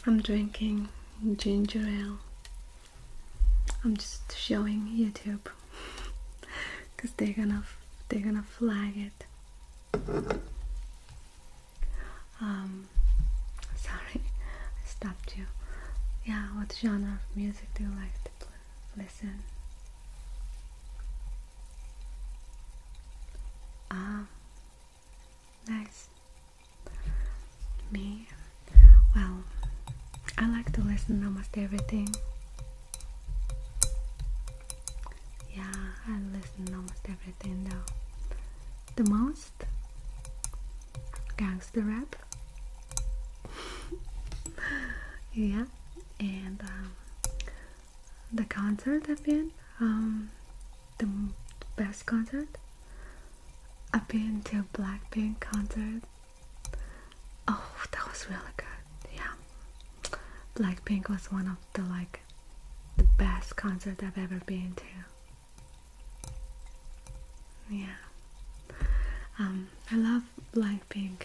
I'm drinking ginger ale. I'm just showing YouTube because [laughs] they're gonna they're gonna flag it. Um, [laughs] sorry, stopped you. Yeah, what genre of music? do you like to listen? Ah, nice. Me? Well, I like to listen almost everything. Yeah, I listen almost everything though. The most? Gangster rap? [laughs] yeah, and um, the concert I've been, um, the best concert. I've been to Blackpink concert. Oh, that was really good. Yeah, Blackpink was one of the like the best concert I've ever been to. Yeah. Um, I love Blackpink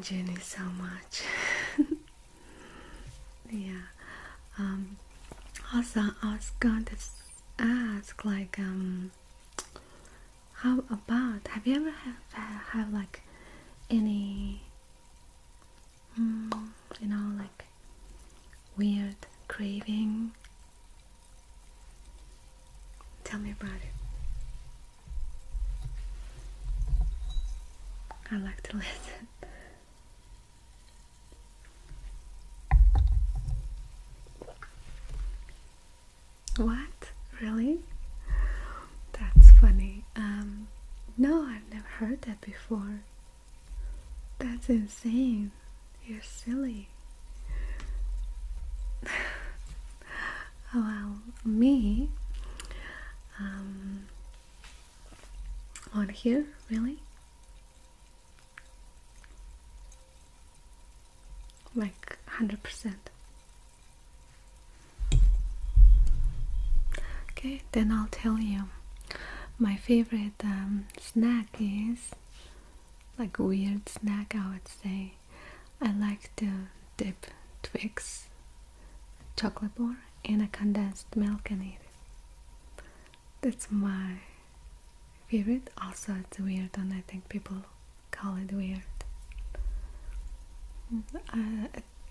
Jenny so much. [laughs] yeah. Um, also, I was going to ask, like, um, how about? Have you ever have have like any, mm, you know, like weird craving Tell me about it. I like to [laughs] listen. What? Really? That's funny. Um, no, I've never heard that before. That's insane you're silly. [laughs] well, me, um, on here, really? Like 100%. Okay, then I'll tell you. My favorite um, snack is like weird snack I would say. I like to dip Twix chocolate bar in a condensed milk and eat it. That's my favorite. Also it's weird and I think people call it weird. Uh,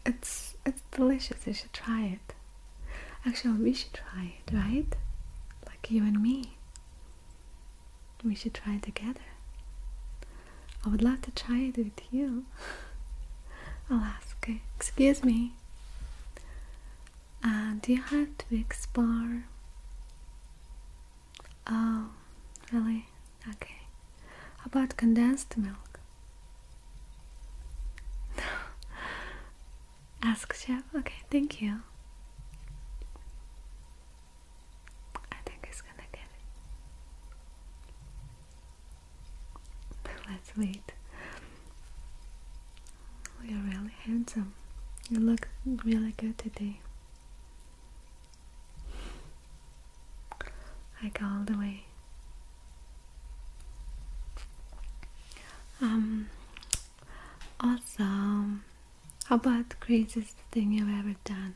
it's it's delicious. You should try it. Actually, we should try it, right? Like you and me. We should try it together. I would love to try it with you. [laughs] I'll ask, excuse me, uh, do you have Twix bar? Oh, really? Okay. How about condensed milk? [laughs] ask chef? Okay, thank you. I think he's gonna get it. [laughs] Let's wait. You're really handsome. You look really good today. Like all the way. Um. Also, how about the craziest thing you've ever done?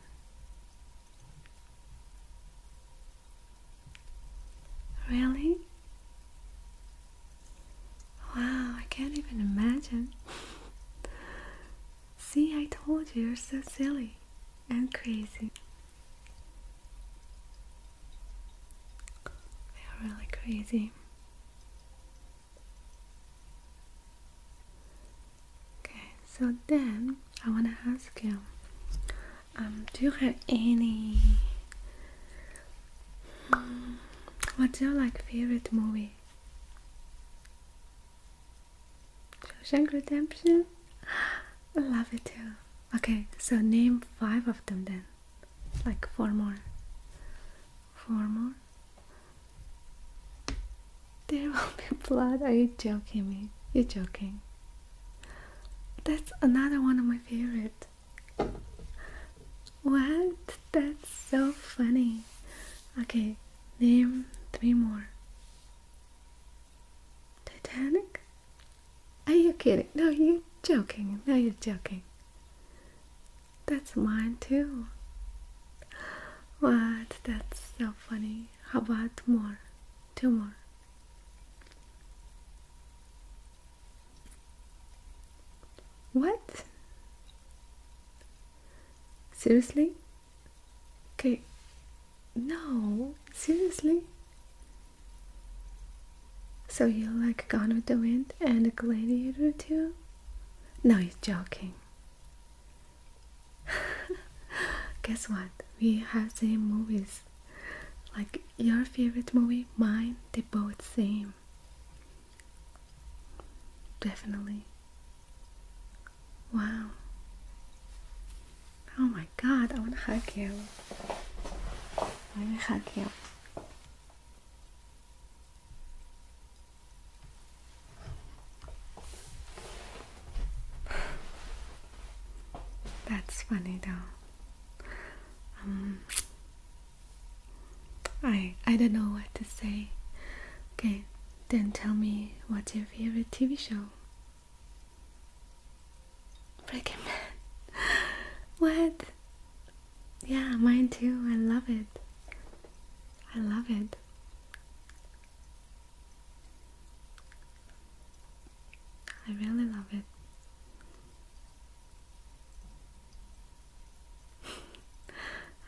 Really? Wow, I can't even imagine. See, I told you, you're so silly and crazy. They're really crazy. Okay, so then I want to ask you um, do you have any. Um, what's your like favorite movie? Shawshank Redemption? [gasps] I love it too. Okay, so name five of them then. Like four more. Four more. There will be [laughs] blood. Are you joking me? You're joking. That's another one of my favorite. What? That's so funny. Okay, name three more. Titanic? Are you kidding? No, you're joking. No, you're joking. That's mine too. What? That's so funny. How about more? Two more. What? Seriously? Okay. No, seriously? So you like Gone with the Wind and Gladiator too? No, he's joking. [laughs] Guess what? We have same movies. Like your favorite movie, mine, they both same. Definitely. Wow. Oh my god, I wanna hug you. I wanna hug you. That's funny though. Um, I I don't know what to say. Okay, then tell me what's your favorite TV show? Breaking Bad. [laughs] what? Yeah, mine too. I love it. I love it. I really love it.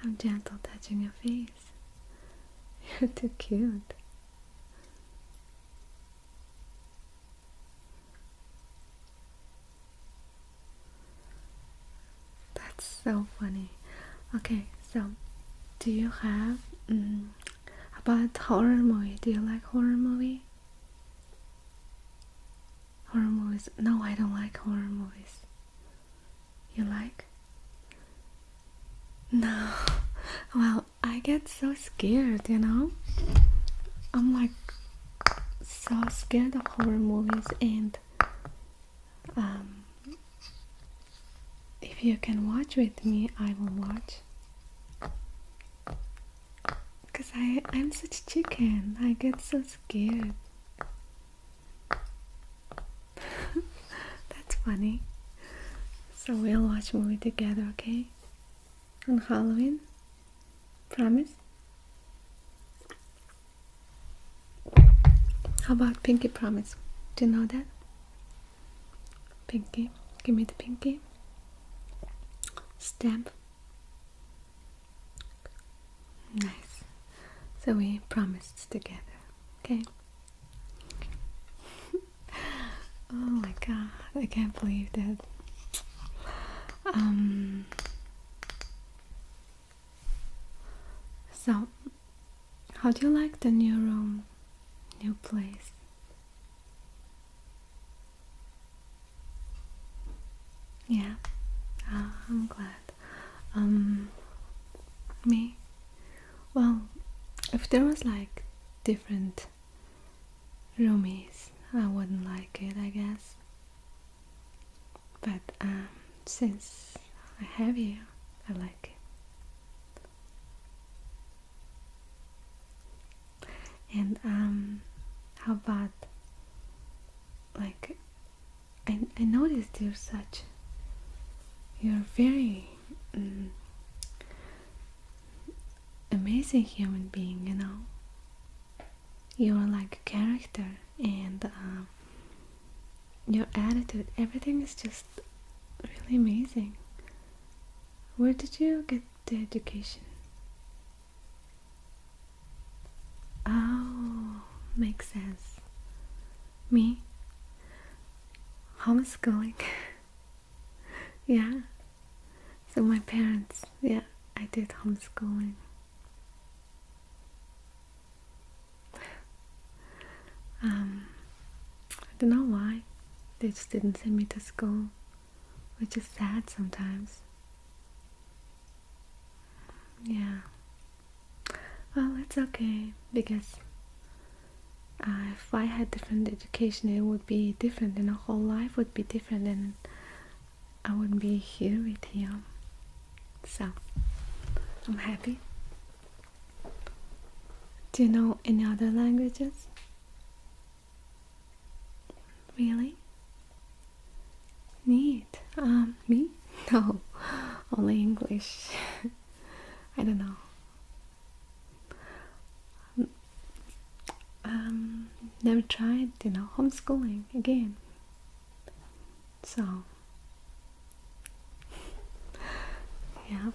I'm [laughs] gentle touching your face. [laughs] You're too cute. That's so funny. Okay, so do you have mm, about horror movie? Do you like horror movie? Horror movies? No, I don't like horror movies. You like? No. [laughs] Well, I get so scared, you know? I'm like so scared of horror movies and um, if you can watch with me, I will watch. Because I, I'm such chicken. I get so scared. [laughs] That's funny. So we'll watch movie together, okay? On Halloween? Promise? How about pinky promise? Do you know that? Pinky, give me the pinky. Stamp. Nice. So we promised together, okay? [laughs] oh my god, I can't believe that. Um, so, how do you like the new room, new place? Yeah, uh, I'm glad. Um, me? Well, if there was like different roomies, I wouldn't like it, I guess. But um, since I have you, I like it. And um, how about like I I noticed you're such. You're very. Um, amazing human being, you know. You're like a character, and uh, your attitude, everything is just really amazing. Where did you get the education? Oh, makes sense. Me? Homeschooling. [laughs] yeah. So my parents, yeah, I did homeschooling. Um, I don't know why they just didn't send me to school, which is sad sometimes. Yeah. Well, it's okay because uh, if I had different education, it would be different, and our whole life would be different, and I wouldn't be here with you. So, I'm happy. Do you know any other languages? Really? Neat. Um, me? [laughs] No, only English. [laughs] I don't know. Um, um, never tried, you know, homeschooling again. So, yeah.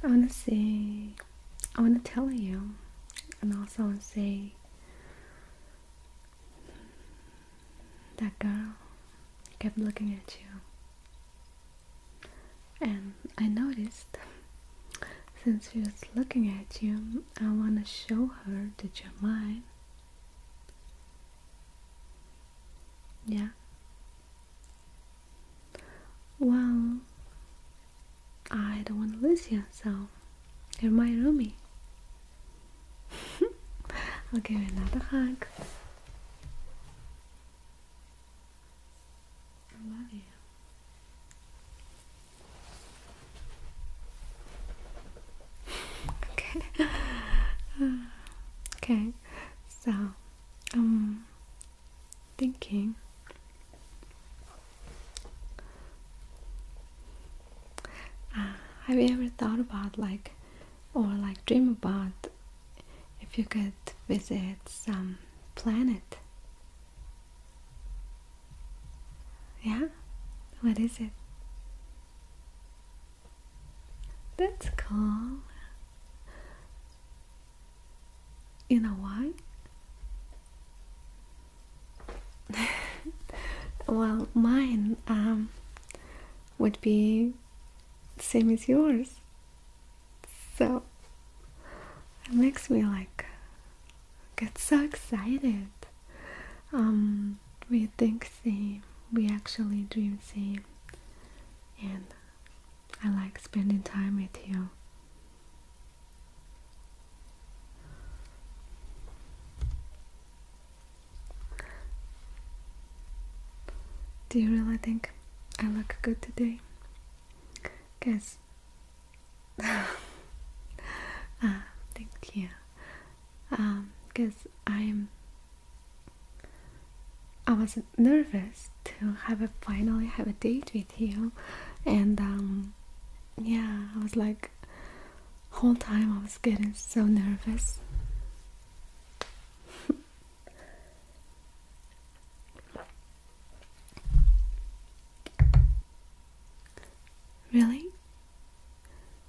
I want to see. I want to tell you, and also I want to say, that girl kept looking at you and I noticed since she was looking at you, I want to show her that you're mine. Yeah. Well, I don't want to lose you, so you're my roomie. [laughs] I'll give you another hug.
I love you. [laughs] okay.
[sighs] okay. So, um, thinking. Uh, have you ever thought about like, or like dream about, if you could visit some planet? Yeah? What is it? That's cool. You know why? [laughs] well, mine um, would be same as yours. So it makes me like get so excited. Um, we think same, we actually dream same, and I like spending time with you. Do you really think I look good today? Guess uh, [laughs] thank you. Um, because I'm. I was nervous to have a finally have a date with you, and um, yeah, I was like, whole time I was getting so nervous. [laughs] Really?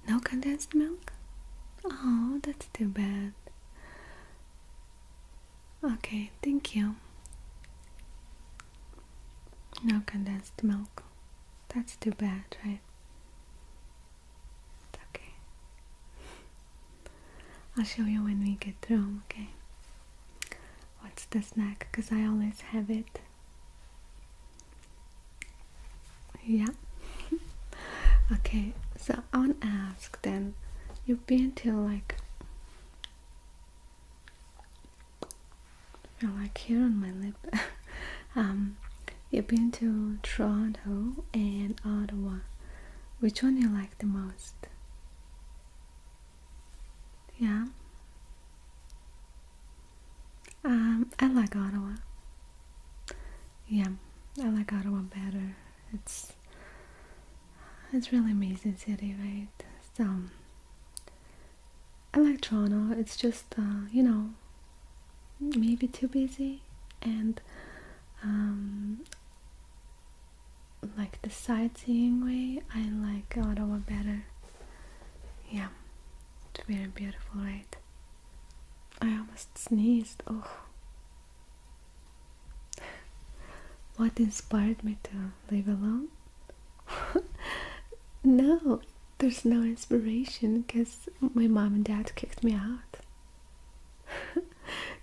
No condensed milk? Oh, that's too bad. Okay, thank you. No condensed milk. That's too bad, right? It's okay. I'll show you when we get through, okay? What's the snack? Because I always have it. Yeah. [laughs] okay, so I want to ask then you've been to like. I like here on my lip. [laughs] um, you've been to Toronto and Ottawa. Which one you like the most? Yeah. Um, I like Ottawa. Yeah, I like Ottawa better. It's it's really amazing city, right? So I like Toronto. It's just uh, you know maybe too busy and um, like the sightseeing way, I like Ottawa better. Yeah, it's very beautiful, right? I almost sneezed. Oh. [laughs] what inspired me to live alone? [laughs] no, there's no inspiration because my mom and dad kicked me out. [laughs]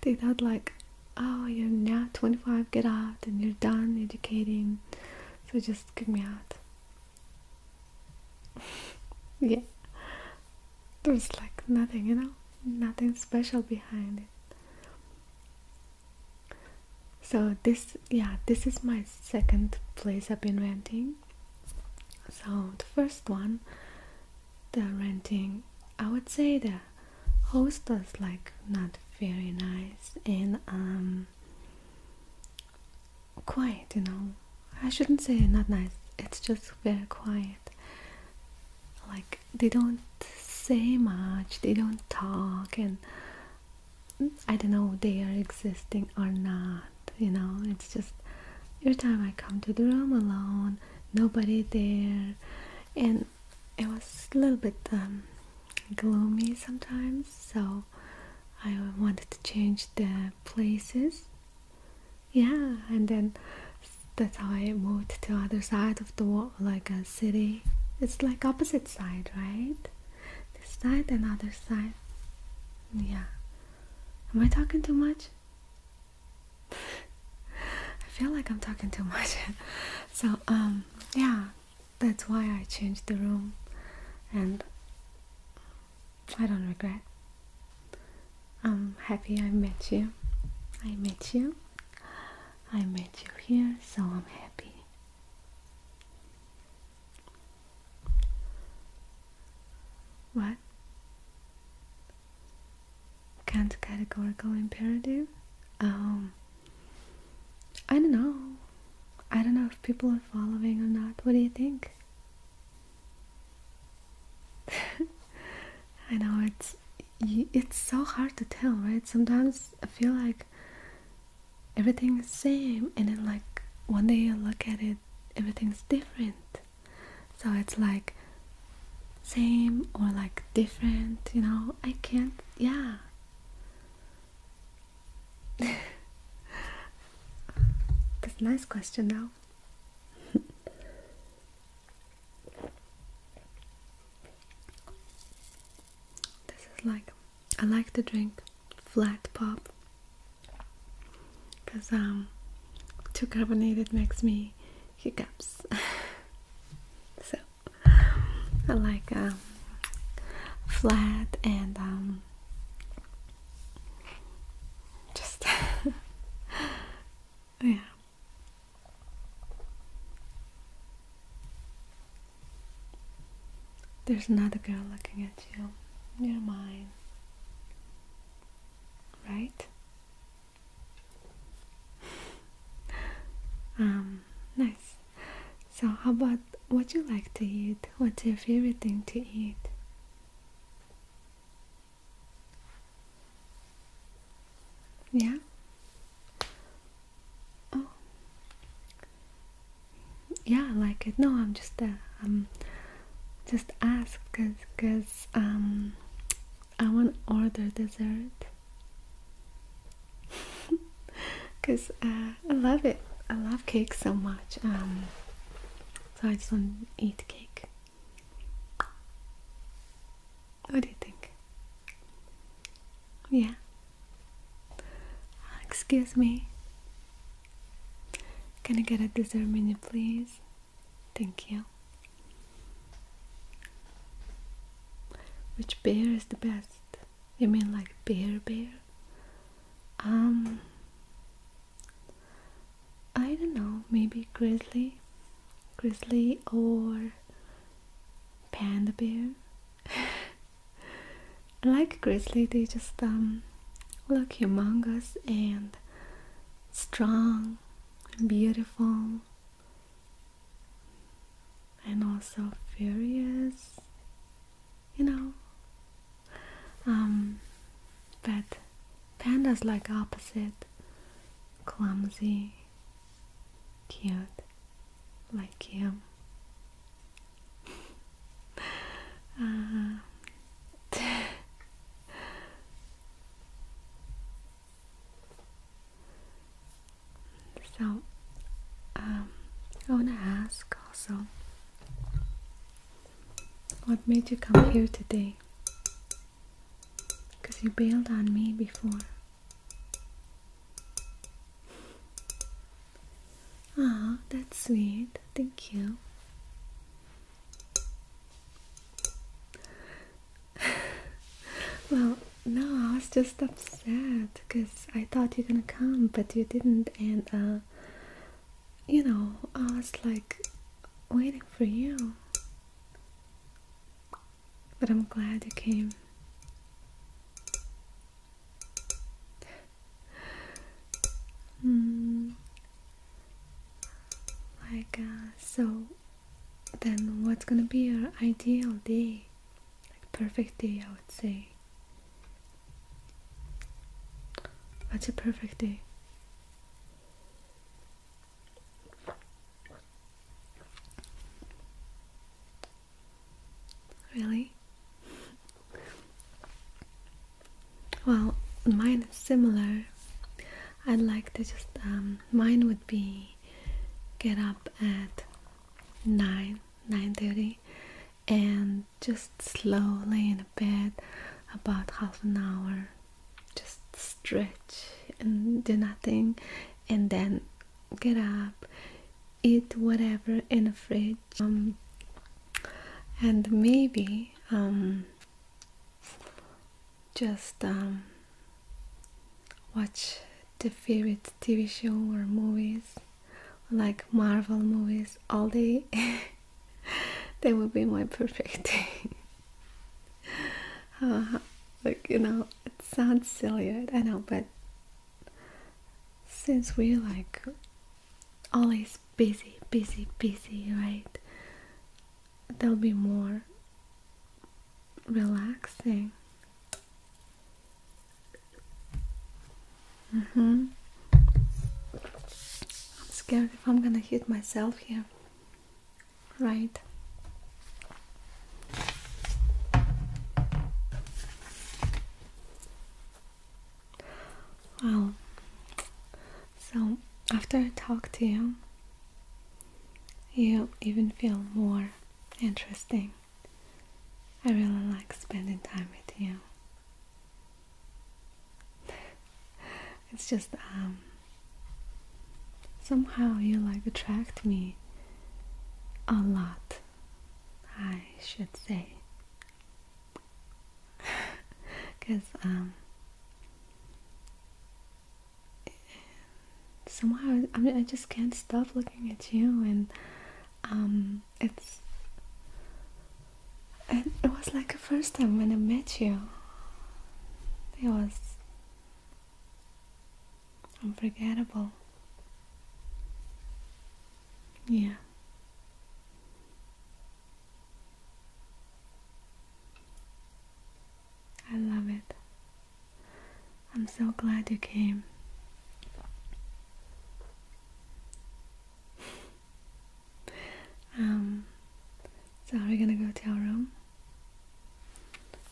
they thought like, oh, you're now 25, get out and you're done educating so just give me out. [laughs] yeah, there's like nothing, you know, nothing special behind it. So this, yeah, this is my second place I've been renting. So the first one, the renting, I would say the host was like not very nice and um quiet, you know. I shouldn't say not nice, it's just very quiet. Like, they don't say much, they don't talk, and I don't know they are existing or not, you know. It's just every time I come to the room alone, nobody there, and it was a little bit um, gloomy sometimes so I wanted to change the places yeah and then that's how I moved to other side of the world like a city it's like opposite side right this side and other side yeah am I talking too much [laughs] I feel like I'm talking too much [laughs] so um yeah that's why I changed the room and I don't regret. I'm happy I met you. I met you. I met you here, so I'm happy. What? Can't categorical imperative? Um, I don't know. I don't know if people are following or not. What do you think? [laughs] I know it's it's so hard to tell, right? Sometimes I feel like everything's same, and then like one day you look at it, everything's different. So it's like same or like different, you know? I can't. Yeah. [laughs] That's a nice question though. [laughs] this is like I like to drink flat pop because um too carbonated makes me hiccups. [laughs] so I [laughs] like um, flat and um, just [laughs] yeah. There's another girl looking at you. You're mine. Right? [laughs] um nice. So, how about what you like to eat? What's your favorite thing to eat? Yeah. Oh. Yeah, I like it. No, I'm just uh, um just ask cuz cuz um I want order dessert because [laughs] uh, I love it. I love cake so much. Um, so I just want to eat cake. What do you think? Yeah. Excuse me. Can I get a dessert menu, please? Thank you. Which beer is the best? You mean like bear bear? Um I don't know, maybe grizzly, grizzly or panda bear. [laughs] like grizzly, they just um look humongous and strong and beautiful and also furious you know. Um, but pandas like opposite, clumsy, cute, like him. [laughs] uh, [laughs] so um, I want to ask also. What made you come here today? Because you bailed on me before. Ah, that's sweet. Thank you. [laughs] well, no, I was just upset because I thought you're gonna come, but you didn't, and uh, you know, I was like waiting for you. But I'm glad you came. Hmm. Like, uh, so then what's gonna be your ideal day? like perfect day I would say what's a perfect day really well mine is similar I'd like to just um, mine would be get up at 9 9:30 and just slowly in a bed, about half an hour. Just stretch and do nothing, and then get up, eat whatever in the fridge, um, and maybe um, just um, watch the favorite TV show or movies like Marvel movies all day, [laughs] they would be my perfect day. [laughs] Uh-huh. like, you know, it sounds silly, I know, but since we're like always busy, busy, busy, right? there will be more relaxing hmm I'm scared if I'm gonna hit myself here. Right. Wow. So after I talk to you, you even feel more interesting. I really like spending time with you. [laughs] it's just um, somehow you like attract me a lot I should say because [laughs] um, somehow I just can't stop looking at you and um, it's it was like the first time when I met you. It was unforgettable. Yeah. I love it. I'm so glad you came. Um, so we're gonna go to our room.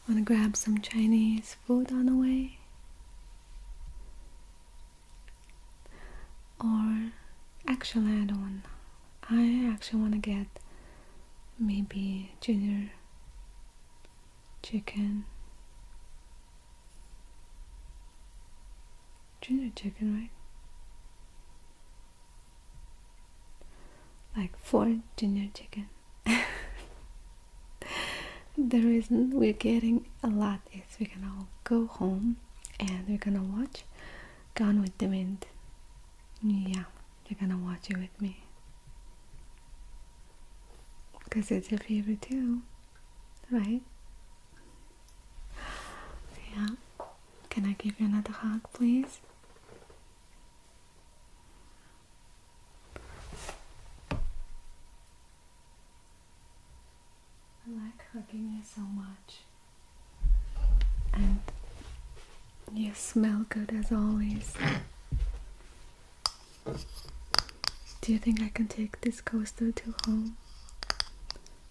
Wanna grab some Chinese food on the way? Or actually, I don't. want I actually wanna get maybe junior chicken Junior chicken, right? Like four junior chicken. [laughs] the reason we're getting a lot is we're gonna go home and we're gonna watch Gone with the Wind. Yeah, you're gonna watch it with me. Because it's a favorite too right? Yeah. Can I give you another hug, please? I like hugging you so much. And you smell good as always. Do you think I can take this coaster to home?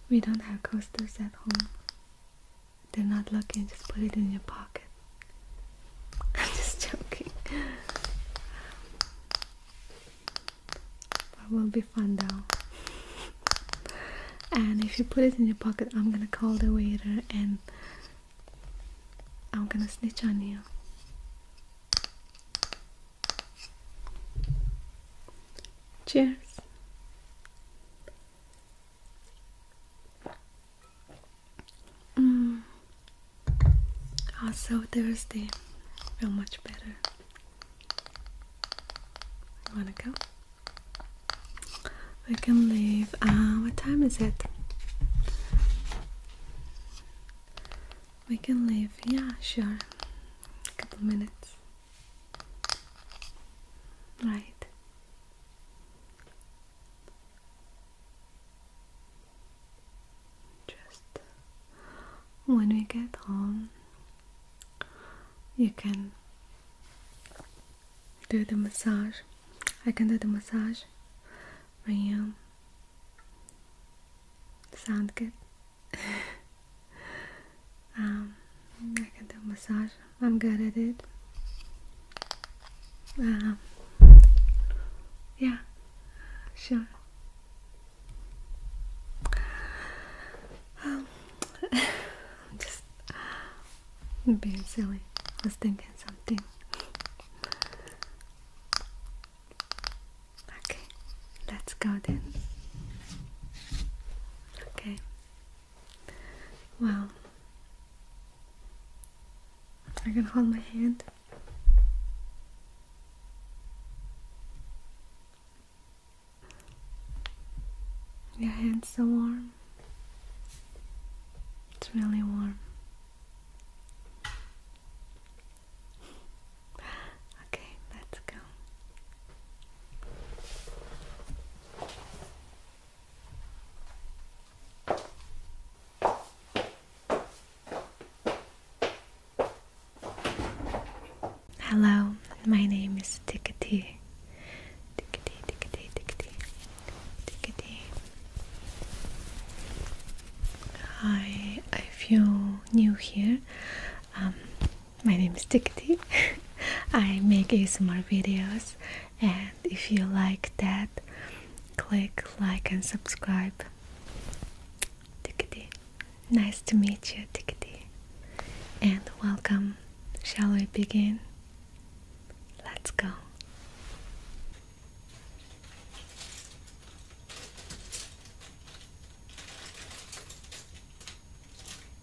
We don't have coasters at home. They're not lucky, just put it in your pocket. [laughs] I'm just joking. It will be fun though. [laughs] And if you put it in your pocket, I'm gonna call the waiter and I'm gonna snitch on you. Cheers. i Mm. Also ah, Thursday, feel much better. Wanna go? We can leave. Uh, what time is it? We can leave. Yeah, sure. A couple minutes. Right. Just when we get home, you can do the massage. I can do the massage for you. Sound good? [laughs] Um, I can do massage. I'm good at it. Um, yeah, sure. Um, [laughs] just being silly. I was thinking something. Okay let's go then. Okay. Well, I can hold my hand. Your hand's so warm. It's really warm. Okay, let's go. Hello, my name is Tickety. Tickety, tickety, tickety. Hi. If you're new here. Um, my name is Tikti. [laughs] I make ASMR videos, and if you like that, click like and subscribe. Tikti, nice to meet you, Tikti, and welcome. Shall we begin? Let's go.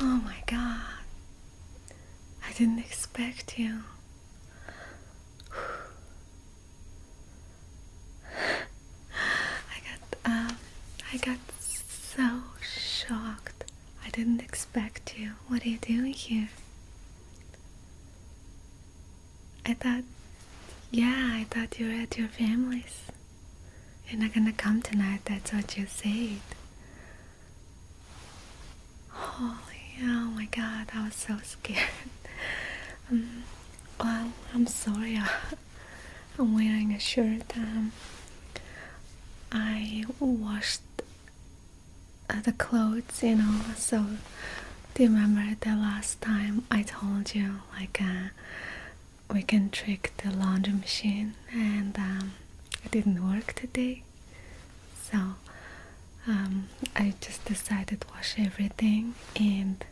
Oh my god. I didn't expect you. I got um I got so shocked. I didn't expect you. What are you doing here? I thought yeah, I thought you were at your family's. You're not gonna come tonight, that's what you said oh my god, I was so scared. [laughs] Um, well, I'm sorry, I'm wearing a shirt. Um, I washed uh, the clothes, you know, so do you remember the last time I told you, like, uh, we can trick the laundry machine and um, it didn't work today? so um, I just decided to wash everything and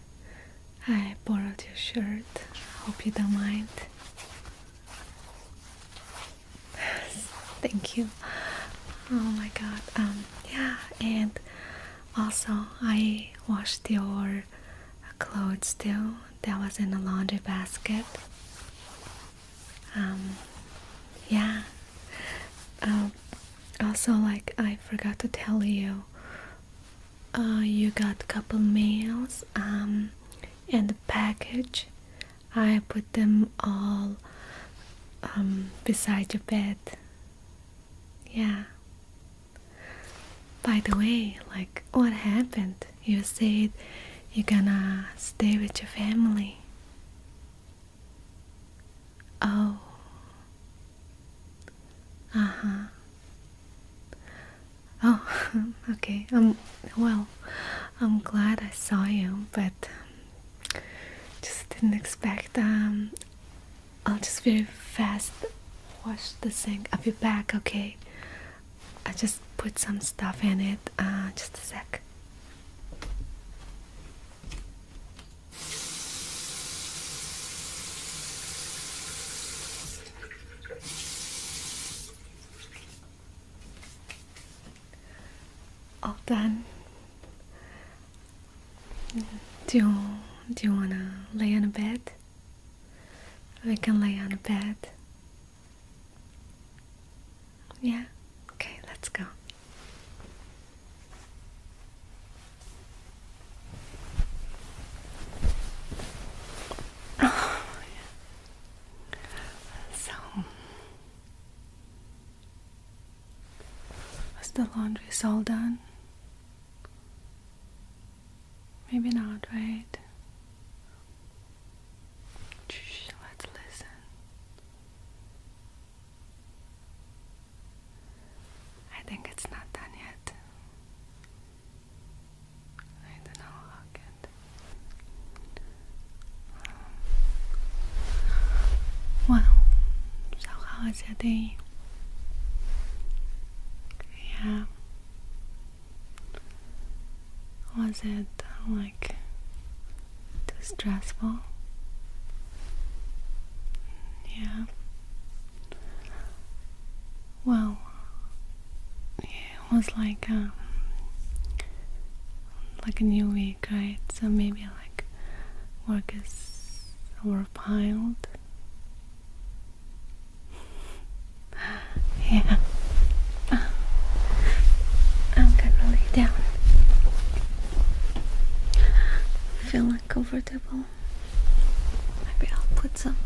I borrowed your shirt. Hope you don't mind. [sighs] Thank you. Oh my god. Um yeah, and also I washed your clothes too. That was in the laundry basket. Um, yeah. Um, also, like I forgot to tell you, uh, you got couple mails. um, and the package. I put them all um, beside your bed. Yeah. By the way, like what happened? You said you're gonna stay with your family. Oh. Uh-huh. Oh, [laughs] okay. Um well, I'm glad I saw you, but just didn't expect um, I'll just very fast wash the sink. I'll be back, okay? I just put some stuff in it. Uh, just a sec. All done. Do you, do you wanna lay on a bed? We can lay on a bed. Yeah? Okay, let's go. Oh, [sighs] So, was the laundry all done? Maybe not, right? Let's listen. I think it's not done yet. I don't know how good. Um, well, so how was your day? Yeah. Was it, well, uh, like stressful. Yeah. Well, it was like um, like a new week, right? So maybe like work is overpiled. [laughs] yeah. I'm gonna lay down. Feeling uncomfortable. Maybe I'll put some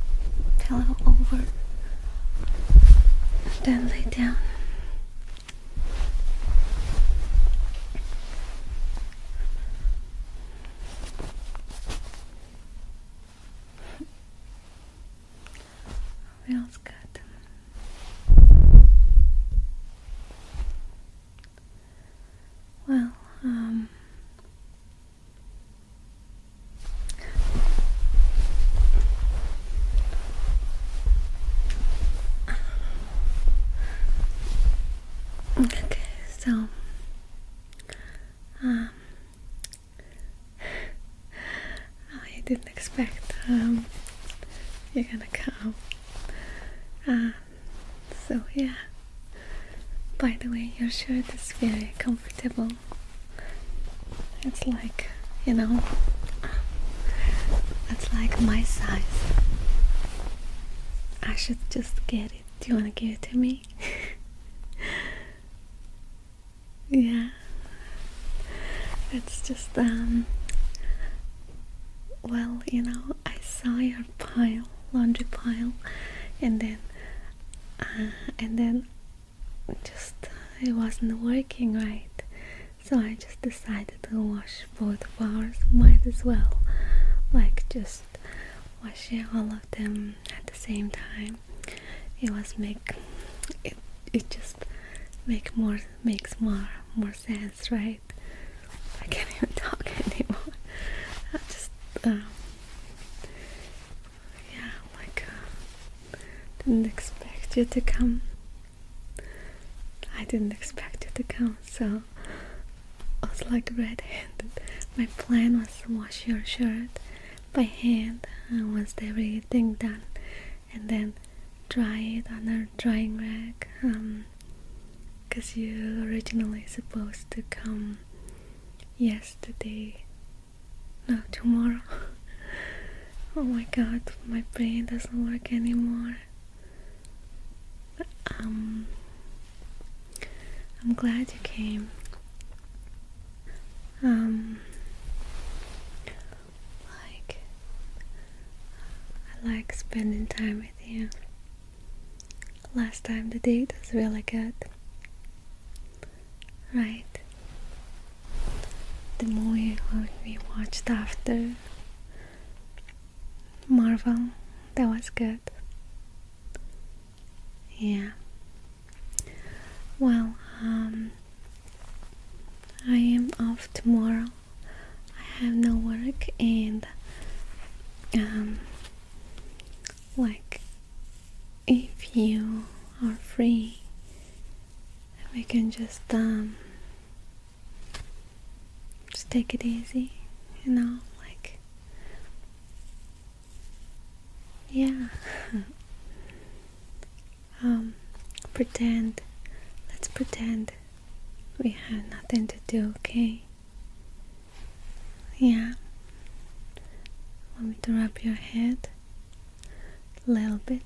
pillow over. And then lay down feels good. Well, um, okay, so, um, I [laughs] oh, didn't expect um, you're gonna come. Um, so yeah. By the way, your shirt is very comfortable. It's like, you know, it's like my size. I should just get it. Do you wanna give it to me? [laughs] yeah. It's just um well, you know, I saw your pile, laundry pile, and then, uh, and then, just uh, it wasn't working right, so I just decided to wash both of ours. Might as well, like, just washing all of them at the same time. It was make it it just make more makes more more sense that's right. I can't even talk [laughs] anymore. I just, um, yeah, like, uh, didn't expect you to come. I didn't expect you to come, so I was like red-handed. My plan was to wash your shirt by hand. Uh, once everything done, and then dry it on a drying rack because um, you you originally supposed to come yesterday no tomorrow [laughs] oh my god my brain doesn't work anymore but, um I'm glad you came um like I like spending time with you. Last time the date was really good. Right. The movie we watched after Marvel, that was good. Yeah. Well, um, I am off tomorrow. I have no work and um like if you are free we can just um just take it easy, you know, like yeah [laughs] um pretend let's pretend we have nothing to do, okay? Yeah. Want me to rub your head? A little bit.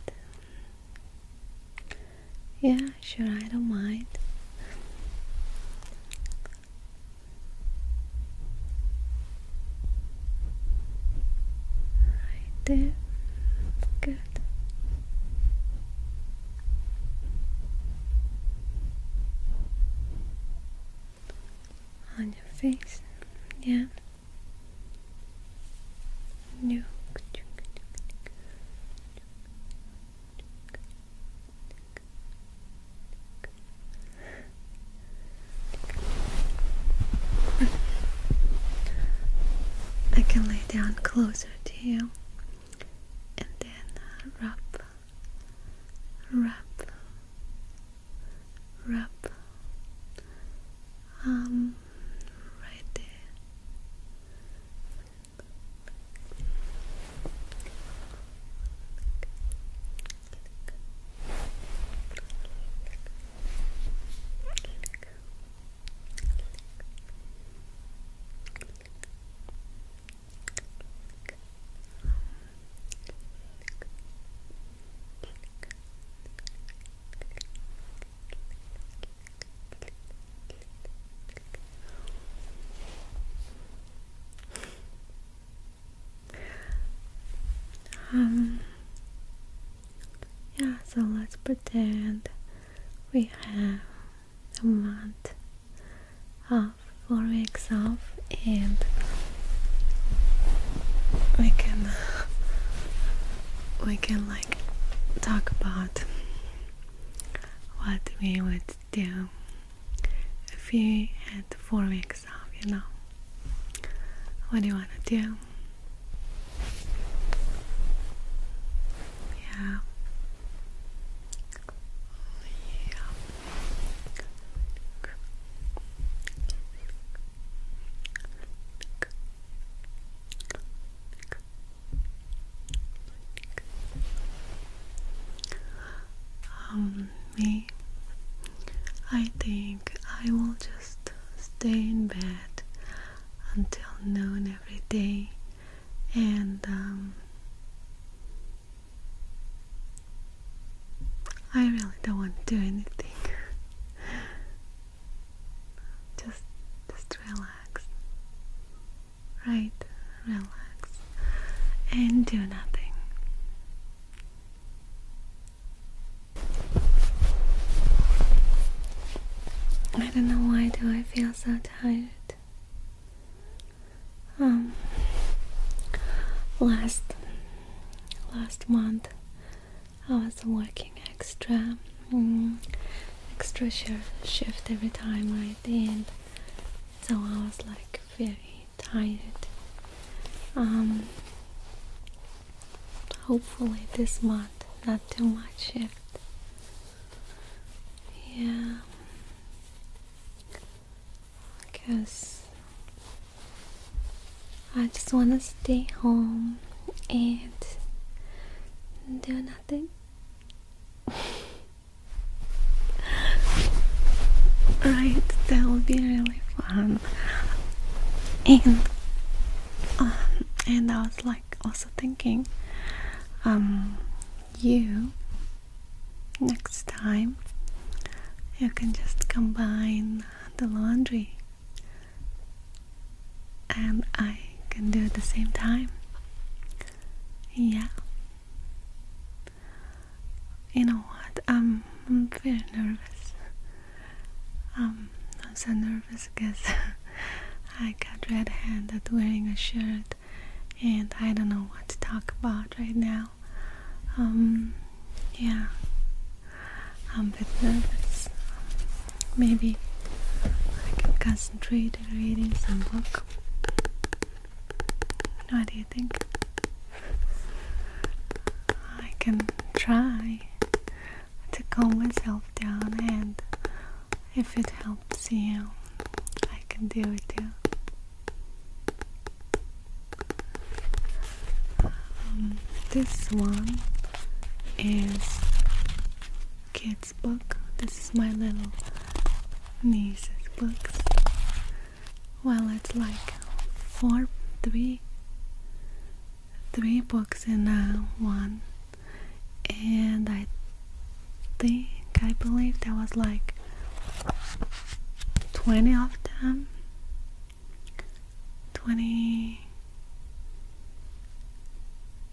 Yeah, sure, I don't mind. Right there. Good on your face, yeah. No. I can lay down closer to you and then uh, rub, rub, rub, um, right um yeah, so let's pretend we have a month off, four weeks off, and we can we can like talk about what we would do if we had four weeks off, you know. What do you wanna do? Yeah, um, me, I think I will just stay in bed until noon every day and um, I really don't want to do anything. [laughs] just, just relax, right? Relax and do nothing. I don't know why do I feel so tired. Um, last last month I was working extra mm, extra shift every time right and so I was like very tired um, hopefully this month not too much shift yeah. I guess I just want to stay home and do nothing. [laughs] right, that would be really fun. And um, and I was like also thinking, um, you next time you can just combine the laundry and I can do it the same time. Yeah. You know what? I'm very nervous. I'm so nervous because [laughs] I got red hand at wearing a shirt and I don't know what to talk about right now. Um, yeah, I'm a bit nervous. Maybe I can concentrate on reading some book. What do you think? I can try to calm myself down and if it helps you, I can deal with you. Um, this one is kids' book. This is my little niece's books. Well, it's like four, three, three books in uh, one, and I think I believe there was like 20 of them 20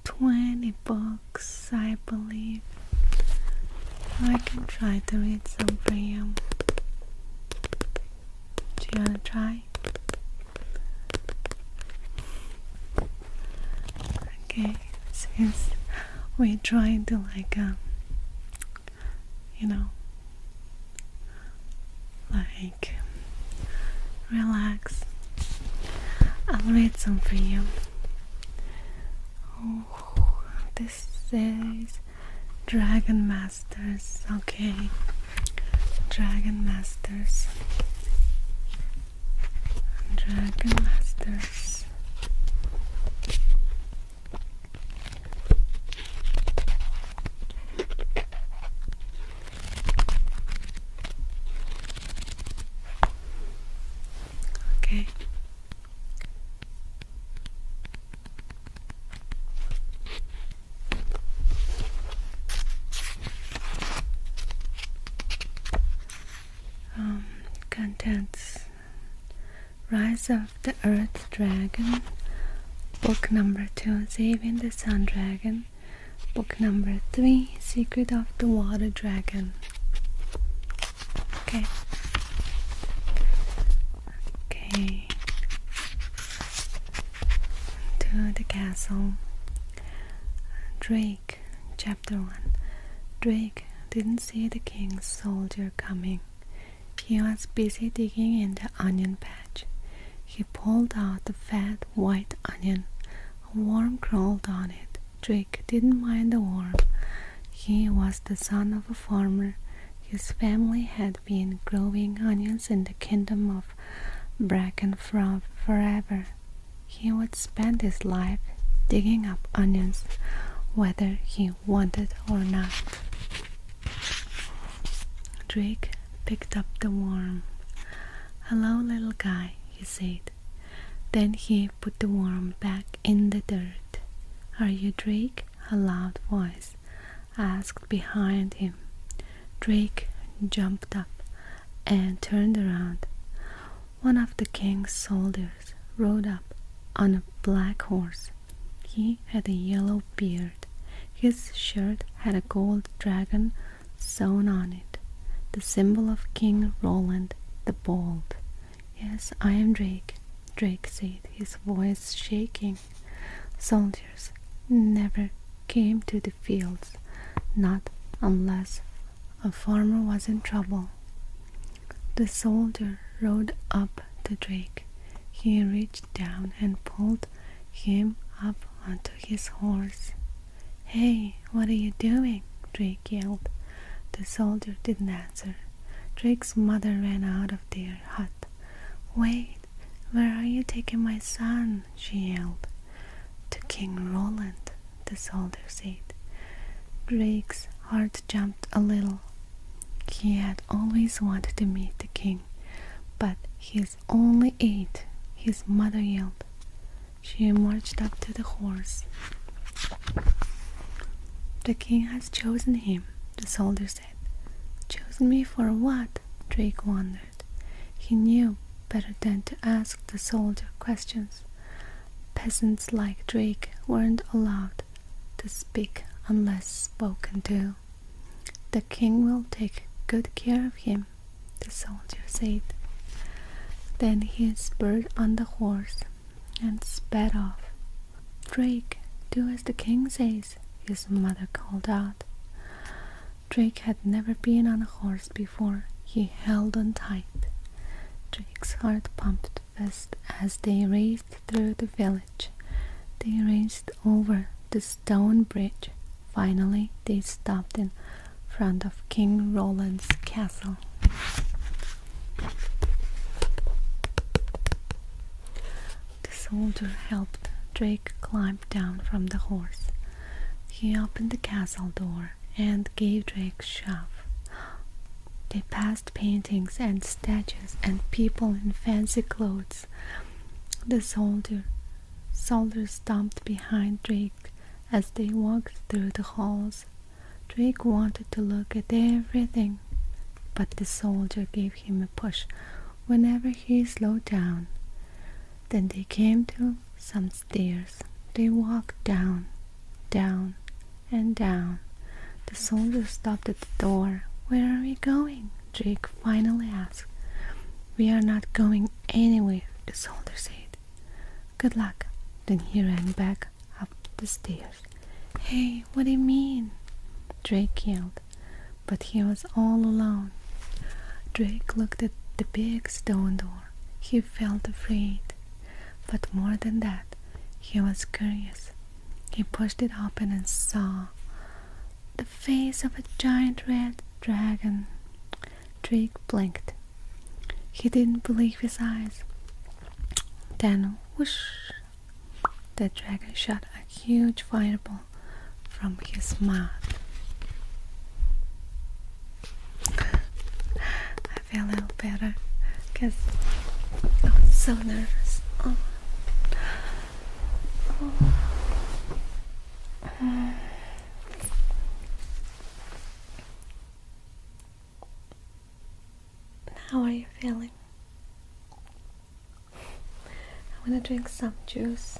20 books I believe I can try to read some for you do you wanna try? Okay, since we're trying to like um you know like relax I'll read some for you. Oh, this is Dragon Masters. Okay, Dragon Masters. Dragon Masters. Okay. Um, contents Rise of the Earth Dragon, Book number 2, Saving the Sun Dragon, Book number 3, Secret of the Water Dragon. Okay. Okay. To the castle. Drake Chapter 1 Drake didn't see the king's soldier coming. He was busy digging in the onion patch. He pulled out a fat white onion. A worm crawled on it. Drake didn't mind the worm. He was the son of a farmer. His family had been growing onions in the kingdom of Brackenfroth forever. He was spend his life digging up onions whether he wanted or not. Drake picked up the worm. Hello, little guy, he said. Then he put the worm back in the dirt. Are you Drake? A loud voice asked behind him. Drake jumped up and turned around. One of the king's soldiers rode up on a black horse. He had a yellow beard. His shirt had a gold dragon sewn on it, the symbol of King Roland the Bold. Yes, I am Drake, Drake said, his voice shaking. Soldiers never came to the fields, not unless a farmer was in trouble. The soldier rode up to Drake. He reached down and pulled him up onto his horse. Hey, what are you doing? Drake yelled. The soldier didn't answer. Drake's mother ran out of their hut. Wait, where are you taking my son? she yelled. To King Roland, the soldier said. Drake's heart jumped a little. He had always wanted to meet the king, but he is only eight, his mother yelled. She marched up to the horse. The king has chosen him, the soldier said. Chosen me for what? Drake wondered. He knew better than to ask the soldier questions. Peasants like Drake weren't allowed to speak unless spoken to. The king will take good care of him, the soldier said. Then he spurred on the horse and sped off. Drake, do as the king says, his mother called out. Drake had never been on a horse before. He held on tight. Drake's heart pumped as they raced through the village. They raced over the stone bridge. Finally, they stopped in front of King Roland's castle. The soldier helped Drake climb down from the horse. He opened the castle door and gave Drake a shove. They passed paintings and statues and people in fancy clothes. The soldier soldiers stomped behind Drake as they walked through the halls. Drake wanted to look at everything, but the soldier gave him a push whenever he slowed down. Then they came to some stairs. They walked down, down, and down. The soldier stopped at the door. Where are we going? Drake? finally asked. We are not going anywhere, the soldier said. Good luck. Then he ran back up the stairs. Hey, what do you mean? Drake yelled, but he was all alone. Drake looked at the big stone door. He felt afraid, but more than that, he was curious. He pushed it open and saw the face of a giant red dragon. Drake blinked. He didn't believe his eyes. Then, whoosh, the dragon shot a huge fireball from his mouth. I feel a little better because I was so nervous. Oh. Oh. How are you feeling? I want to drink some juice.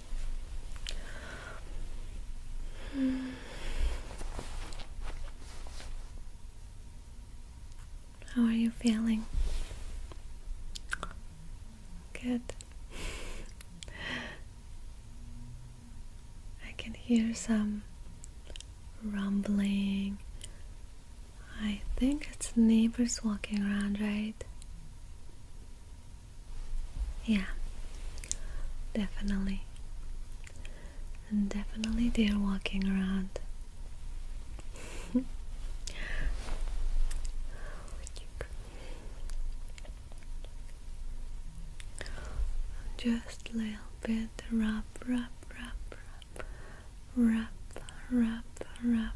Hmm. How are you feeling? Good. I can hear some rumbling. I think it's neighbors walking around, right? Yeah, definitely. And definitely they are walking around. [laughs] Just a little bit, rub, rub, rub, rub, rub, rub, rub,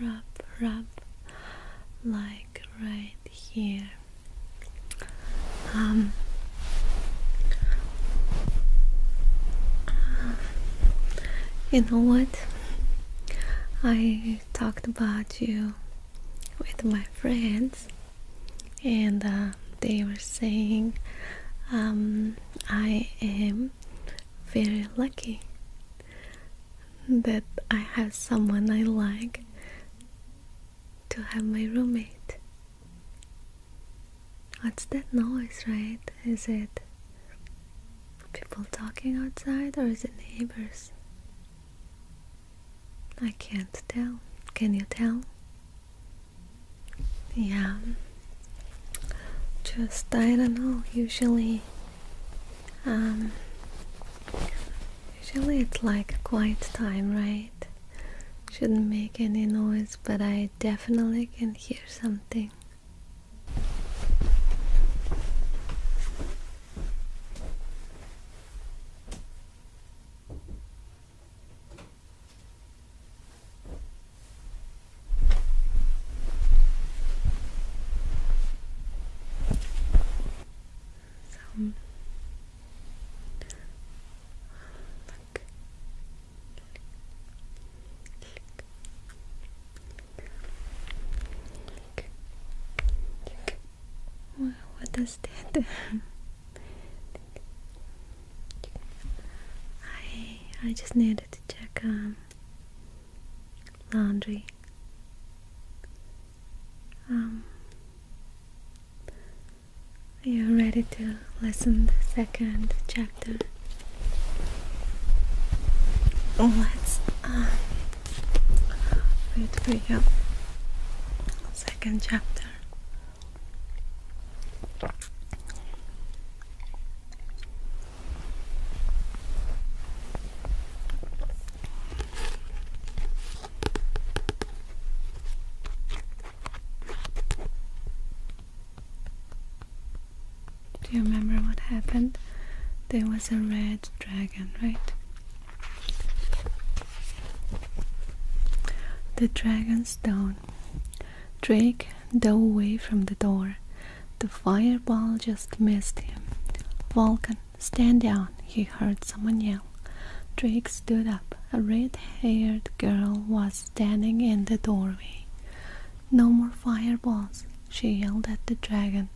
rub, rub, like right here. Um, you know what? I talked about you with my friends, and uh, they were saying um, I am very lucky that I have someone I like to have my roommate. What's that noise, right? Is it people talking outside or is it neighbors? I can't tell. Can you tell? Yeah. Just, I don't know, usually um, usually it's like quiet time, right? Shouldn't make any noise, but I definitely can hear something. So look. Look. Look. Wow, what is that? I I just needed to check um laundry. Um, are you ready to listen the second chapter? Oh, let's uh, for you. Second chapter. Do you remember what happened? There was a red dragon, right? The dragon's down. Drake dove away from the door. The fireball just missed him. Vulcan Stand down, he heard someone yell. Drake stood up. A red haired girl was standing in the doorway. No more fireballs, she yelled at the dragon.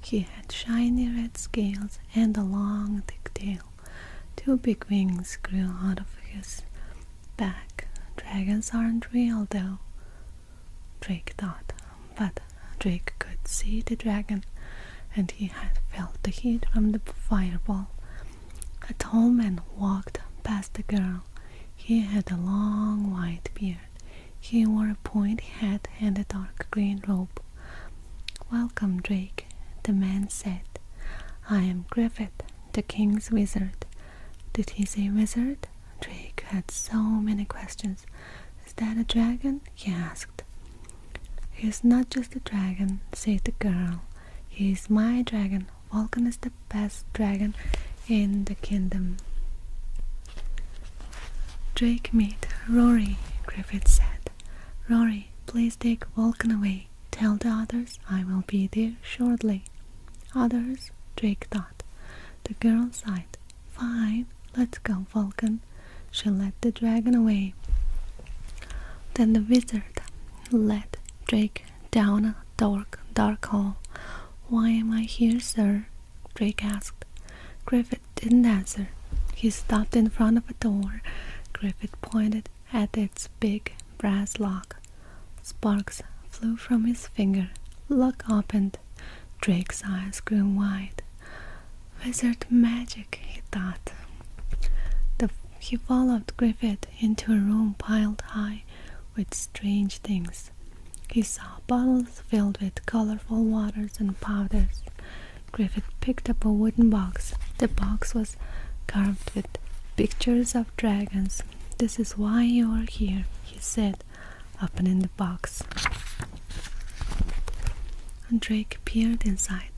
He had shiny red scales and a long, thick tail. Two big wings grew out of his back. Dragons aren't real, though, Drake thought but Drake could see the dragon, and he had felt the heat from the fireball. A tall man walked past the girl. He had a long white beard. He wore a point hat and a dark green robe. Welcome, Drake, the man said. I am Griffith, the king's wizard. Did he say wizard? Drake had so many questions. Is that a dragon? he asked asked. He is not just a dragon, said the girl. He is my dragon. Vulcan is the best dragon in the kingdom. Drake meet Rory, Griffith said. Rory, please take Vulcan away. Tell the others I will be there shortly. Others, Drake thought. The girl sighed. Fine, let's go. Vulcan, shall let the dragon away. Then the wizard led Drake down a dark, dark hall. Why am I here, sir? Drake asked. Griffith didn't answer. He stopped in front of a door. Griffith pointed at its big brass lock. Sparks flew from his finger. Lock opened. Drake's eyes grew wide. Wizard magic, he thought. he followed Griffith into a room piled high with strange things. He saw bottles filled with colorful waters and powders. Griffith picked up a wooden box. The box was carved with pictures of dragons. This is why you are here, he said, opening the box. And Drake peered inside.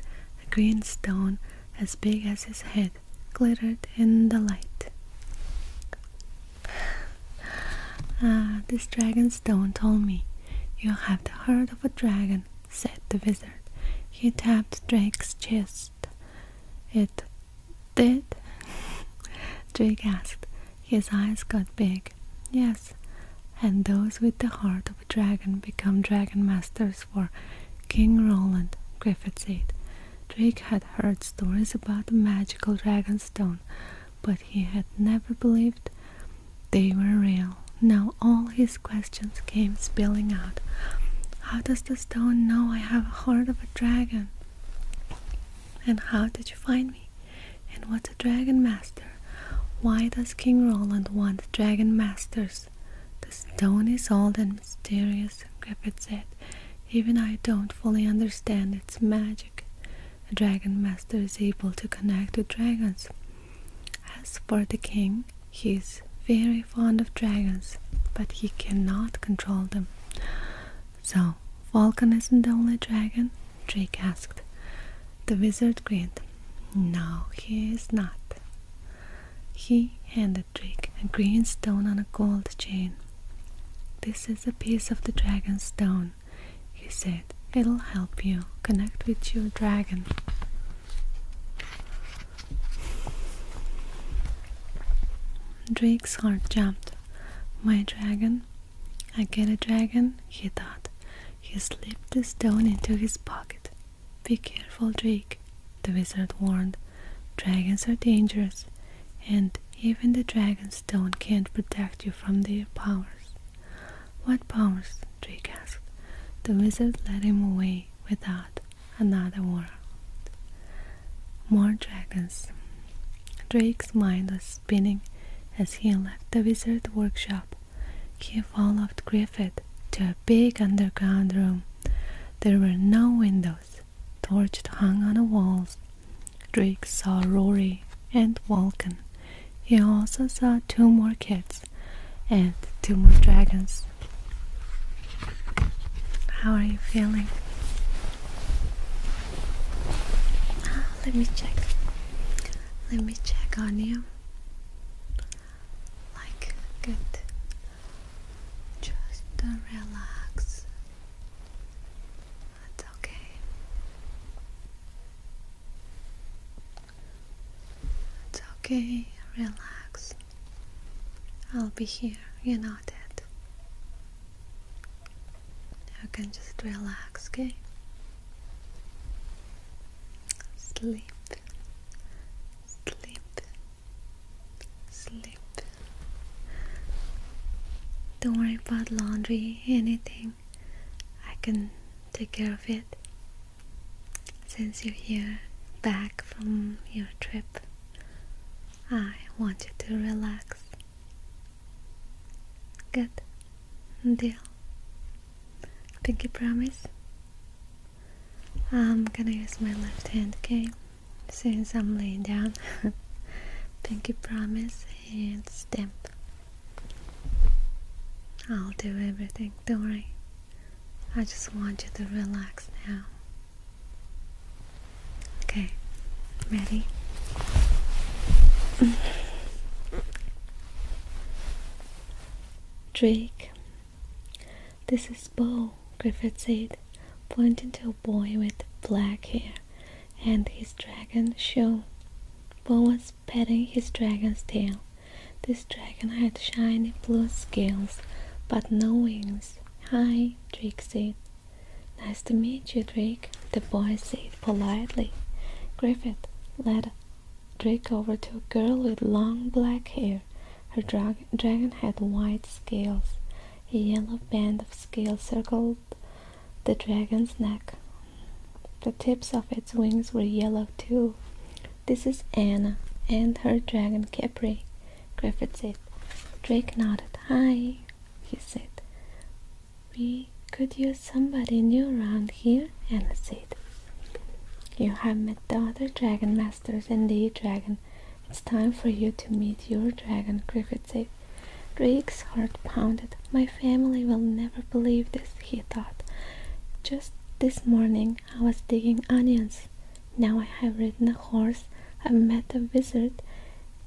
A green stone as big as his head glittered in the light. [sighs] Ah, this dragon stone told me. You have the heart of a dragon, said the wizard. He tapped Drake's chest. It did? [laughs] Drake asked. His eyes got big. Yes, and those with the heart of a dragon become dragon masters for King Roland, Griffith said, Drake had heard stories about the magical dragon stone, but he had never believed they were real. Now all his questions came spilling out. How does the stone know I have a heart of a dragon? And how did you find me? And what's a Dragon Master? Why does King Roland want Dragon Masters? The stone is old and mysterious, Griffith said. Even I don't fully understand its magic. A Dragon Master is able to connect with dragons. As for the king, he is very fond of dragons, but he cannot control them. So, Falcon isn't the only dragon? Drake asked. The wizard grinned. No, he is not. He handed Drake a green stone on a gold chain. This is a piece of the dragon stone, he said. It'll help you connect with your dragon. Drake's heart jumped. My dragon? I get a dragon? He thought. He slipped the stone into his pocket. Be careful, Drake, the wizard warned. Dragons are dangerous, and even the dragon stone can't protect you from their powers. What powers? Drake asked. The wizard led him away without another word. More dragons. Drake's mind was spinning as he left the wizard's workshop he followed Griffith to a big underground room. There were no windows. Torches hung on the walls. Drake saw Rory and Vulcan. He also saw two more kids and two more dragons. How are you feeling? Ah, let me check. Let me check on you. Like good. Just relax. That's okay. It's okay, relax. I'll be here, you know that. dead. You can just relax, okay? sleep, sleep, sleep. Don't worry about laundry, anything. I can take care of it since you're here back from your trip. I want you to relax. Good deal. Pinky promise. I'm gonna use my left hand, okay? Since I'm laying down. Pinky [laughs] promise and stamp. I'll do everything, don't worry. I just want you to relax now. Okay, ready? Drake. This is Bo, Griffith said, pointing to a boy with black hair, and his dragon shone. Bo was petting his dragon's tail. This dragon had shiny blue scales, but no wings. Hi, Drake said. Nice to meet you, Drake, the boy said politely. Griffith led Drake over to a girl with long black hair. Her dragon had white scales. A yellow band of scales circled the dragon's neck. The tips of its wings were yellow too. This is Anna and her dragon Capri, Griffith said. Drake nodded. Hi, he said. We could use somebody new around here, Anna said. You have met the other dragon masters and the dragon. It's time for you to meet your dragon, Griffith said. heart pounded. My family will never believe this, he thought. Just this morning I was digging onions. Now I have ridden a horse, I've met a wizard,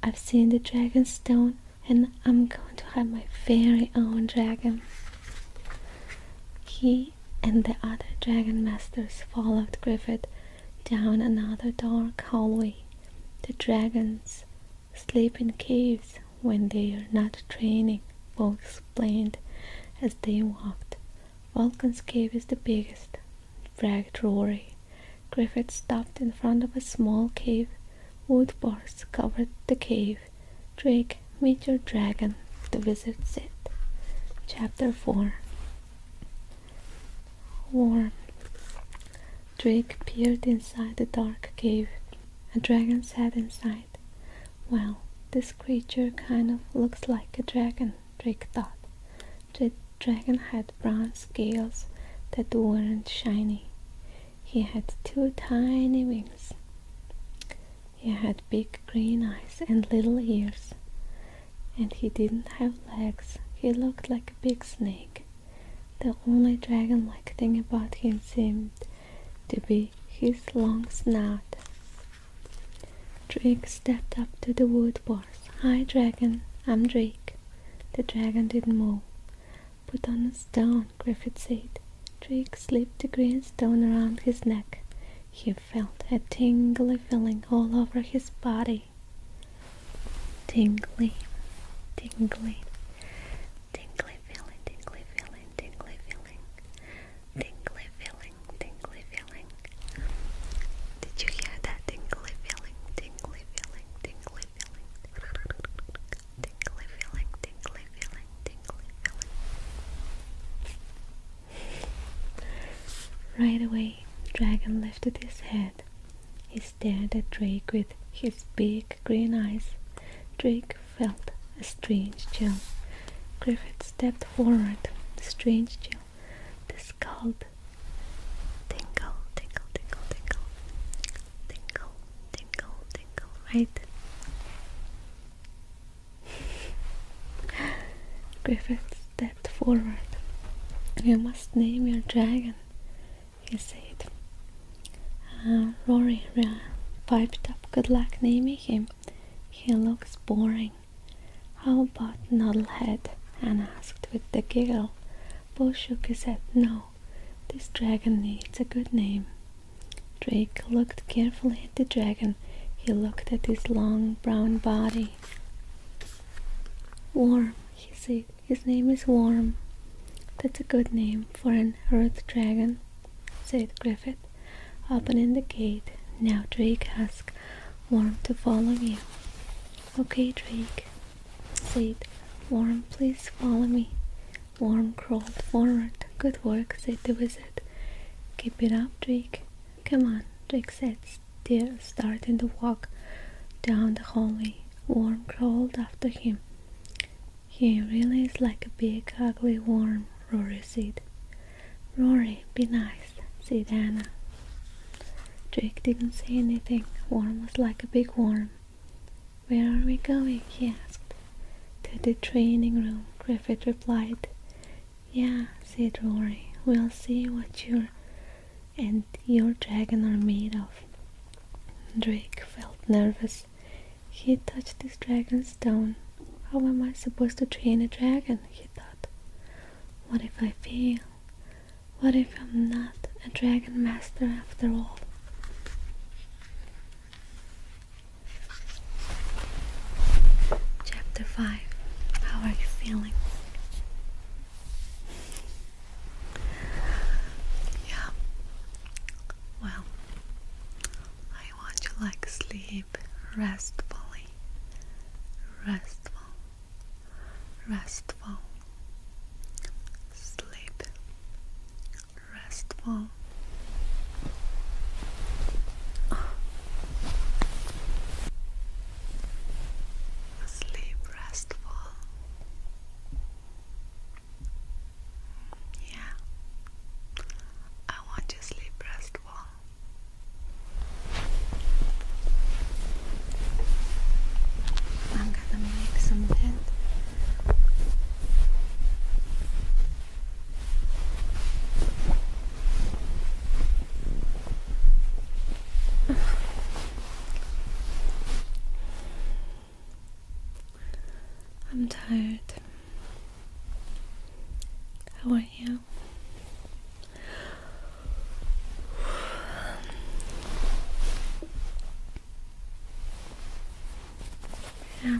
I've seen the dragon stone, and I'm going to have my very own dragon. He and the other Dragon Masters followed Griffith down another dark hallway. The dragons sleep in caves when they are not training, Vol explained as they walked. Vulcan's cave is the biggest, bragged Rory. Griffith stopped in front of a small cave. Wood bars covered the cave. Drake, meet your dragon, the wizard said. Chapter 4 Warm. Drake peered inside the dark cave. A dragon sat inside. Well, this creature kind of looks like a dragon, Drake thought. The dragon had brown scales that weren't shiny. He had two tiny wings. He had big green eyes and little ears, and he didn't have legs. He looked like a big snake. The only dragon like thing about him seemed to be his long snout. Drake stepped up to the wood horse. Hi, dragon, I'm Drake. The dragon didn't move. Put on a stone, Griffith said. Drake slipped the green stone around his neck. He felt a tingly feeling all over his body. Tingly, tingly, tingly feeling, tingly feeling, tingly feeling, tingly feeling, tingly feeling. Did you hear that tingly feeling, tingly feeling, tingly feeling, tingly feeling, Right away, Dragon lifted his head. He stared at Drake with his big green eyes. Drake felt a strange chill. Griffith stepped forward. The strange chill. The scald. Tingle, tingle, tingle, tingle. Tingle, tingle, tingle, right? Griffith stepped forward. You must name your dragon, he said. Uh, Rory piped up, good luck naming him. He looks boring. How about Nodlehead?" Anne asked with a giggle. Bo shook his head. No, this dragon needs a good name. Drake looked carefully at the dragon. He looked at his long brown body. Warm, he said. His name is Warm. That's a good name for an earth dragon, said Griffith, opening the gate. Now Drake asked "Warm, to follow you. Okay, Drake, said Warm. please follow me. Warm crawled forward. Good work, said the wizard. Keep it up, Jake. Come on, Jake said, still starting to walk down the hallway. Worm crawled after him. He really is like a big, ugly worm, Rory said. Rory, be nice, said Anna. Jake didn't say anything. Worm was like a big worm. Where are we going? he asked. To the training room, Griffith replied. Yeah, said Rory, we'll see what you are and your dragon are made of. Drake felt nervous. He touched his dragon's stone. How am I supposed to train a dragon? he thought. What if I fail? What if I'm not a dragon master after all? Chapter 5 How are you feeling? Yeah. Well, I want you like sleep restfully. Restful. Restful. Sleep. Restful. Sleep restful. Yeah, I want you sleep restful. I'm gonna make some bed. [sighs] I'm tired. How are you? [sighs] Yeah.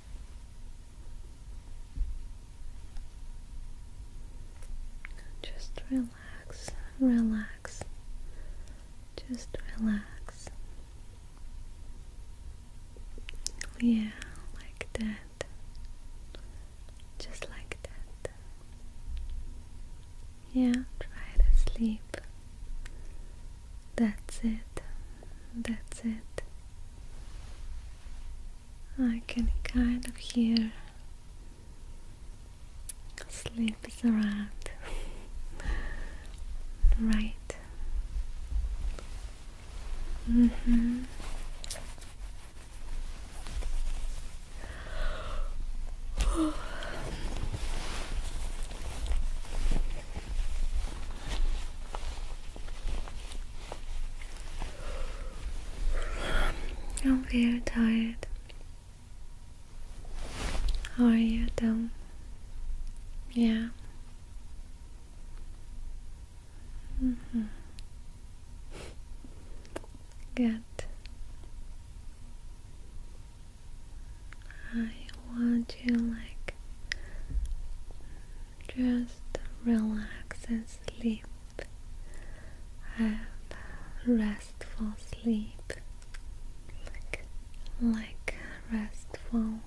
Just relax, relax, just relax. Yeah, like that. Just like that. Yeah, try to sleep. That's it. That's it. I can kind of hear sleep is around, [laughs] right? Mm hmm. I'm very tired. How are you though? Yeah. Mm -hmm. Good. I want you like just relax and sleep. Have restful sleep, like, like restful.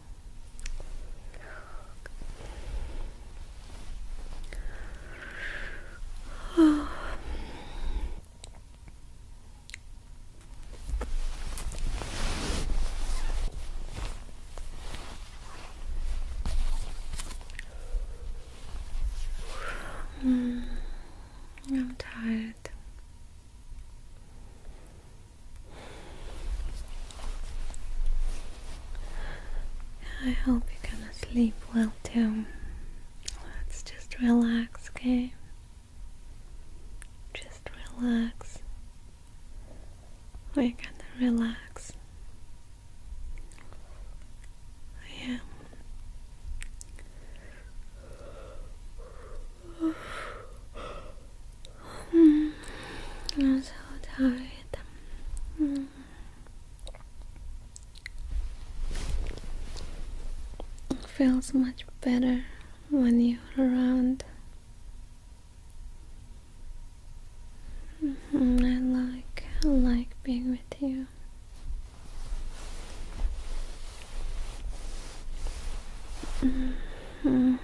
Mm, I'm tired. I hope you're gonna sleep well too. Let's just relax, okay? Just relax we oh, gonna relax. Yeah. Mm. I'm so tired. feels much better when you're around. Mm-hmm, I like I like being with you.
Mm-hmm.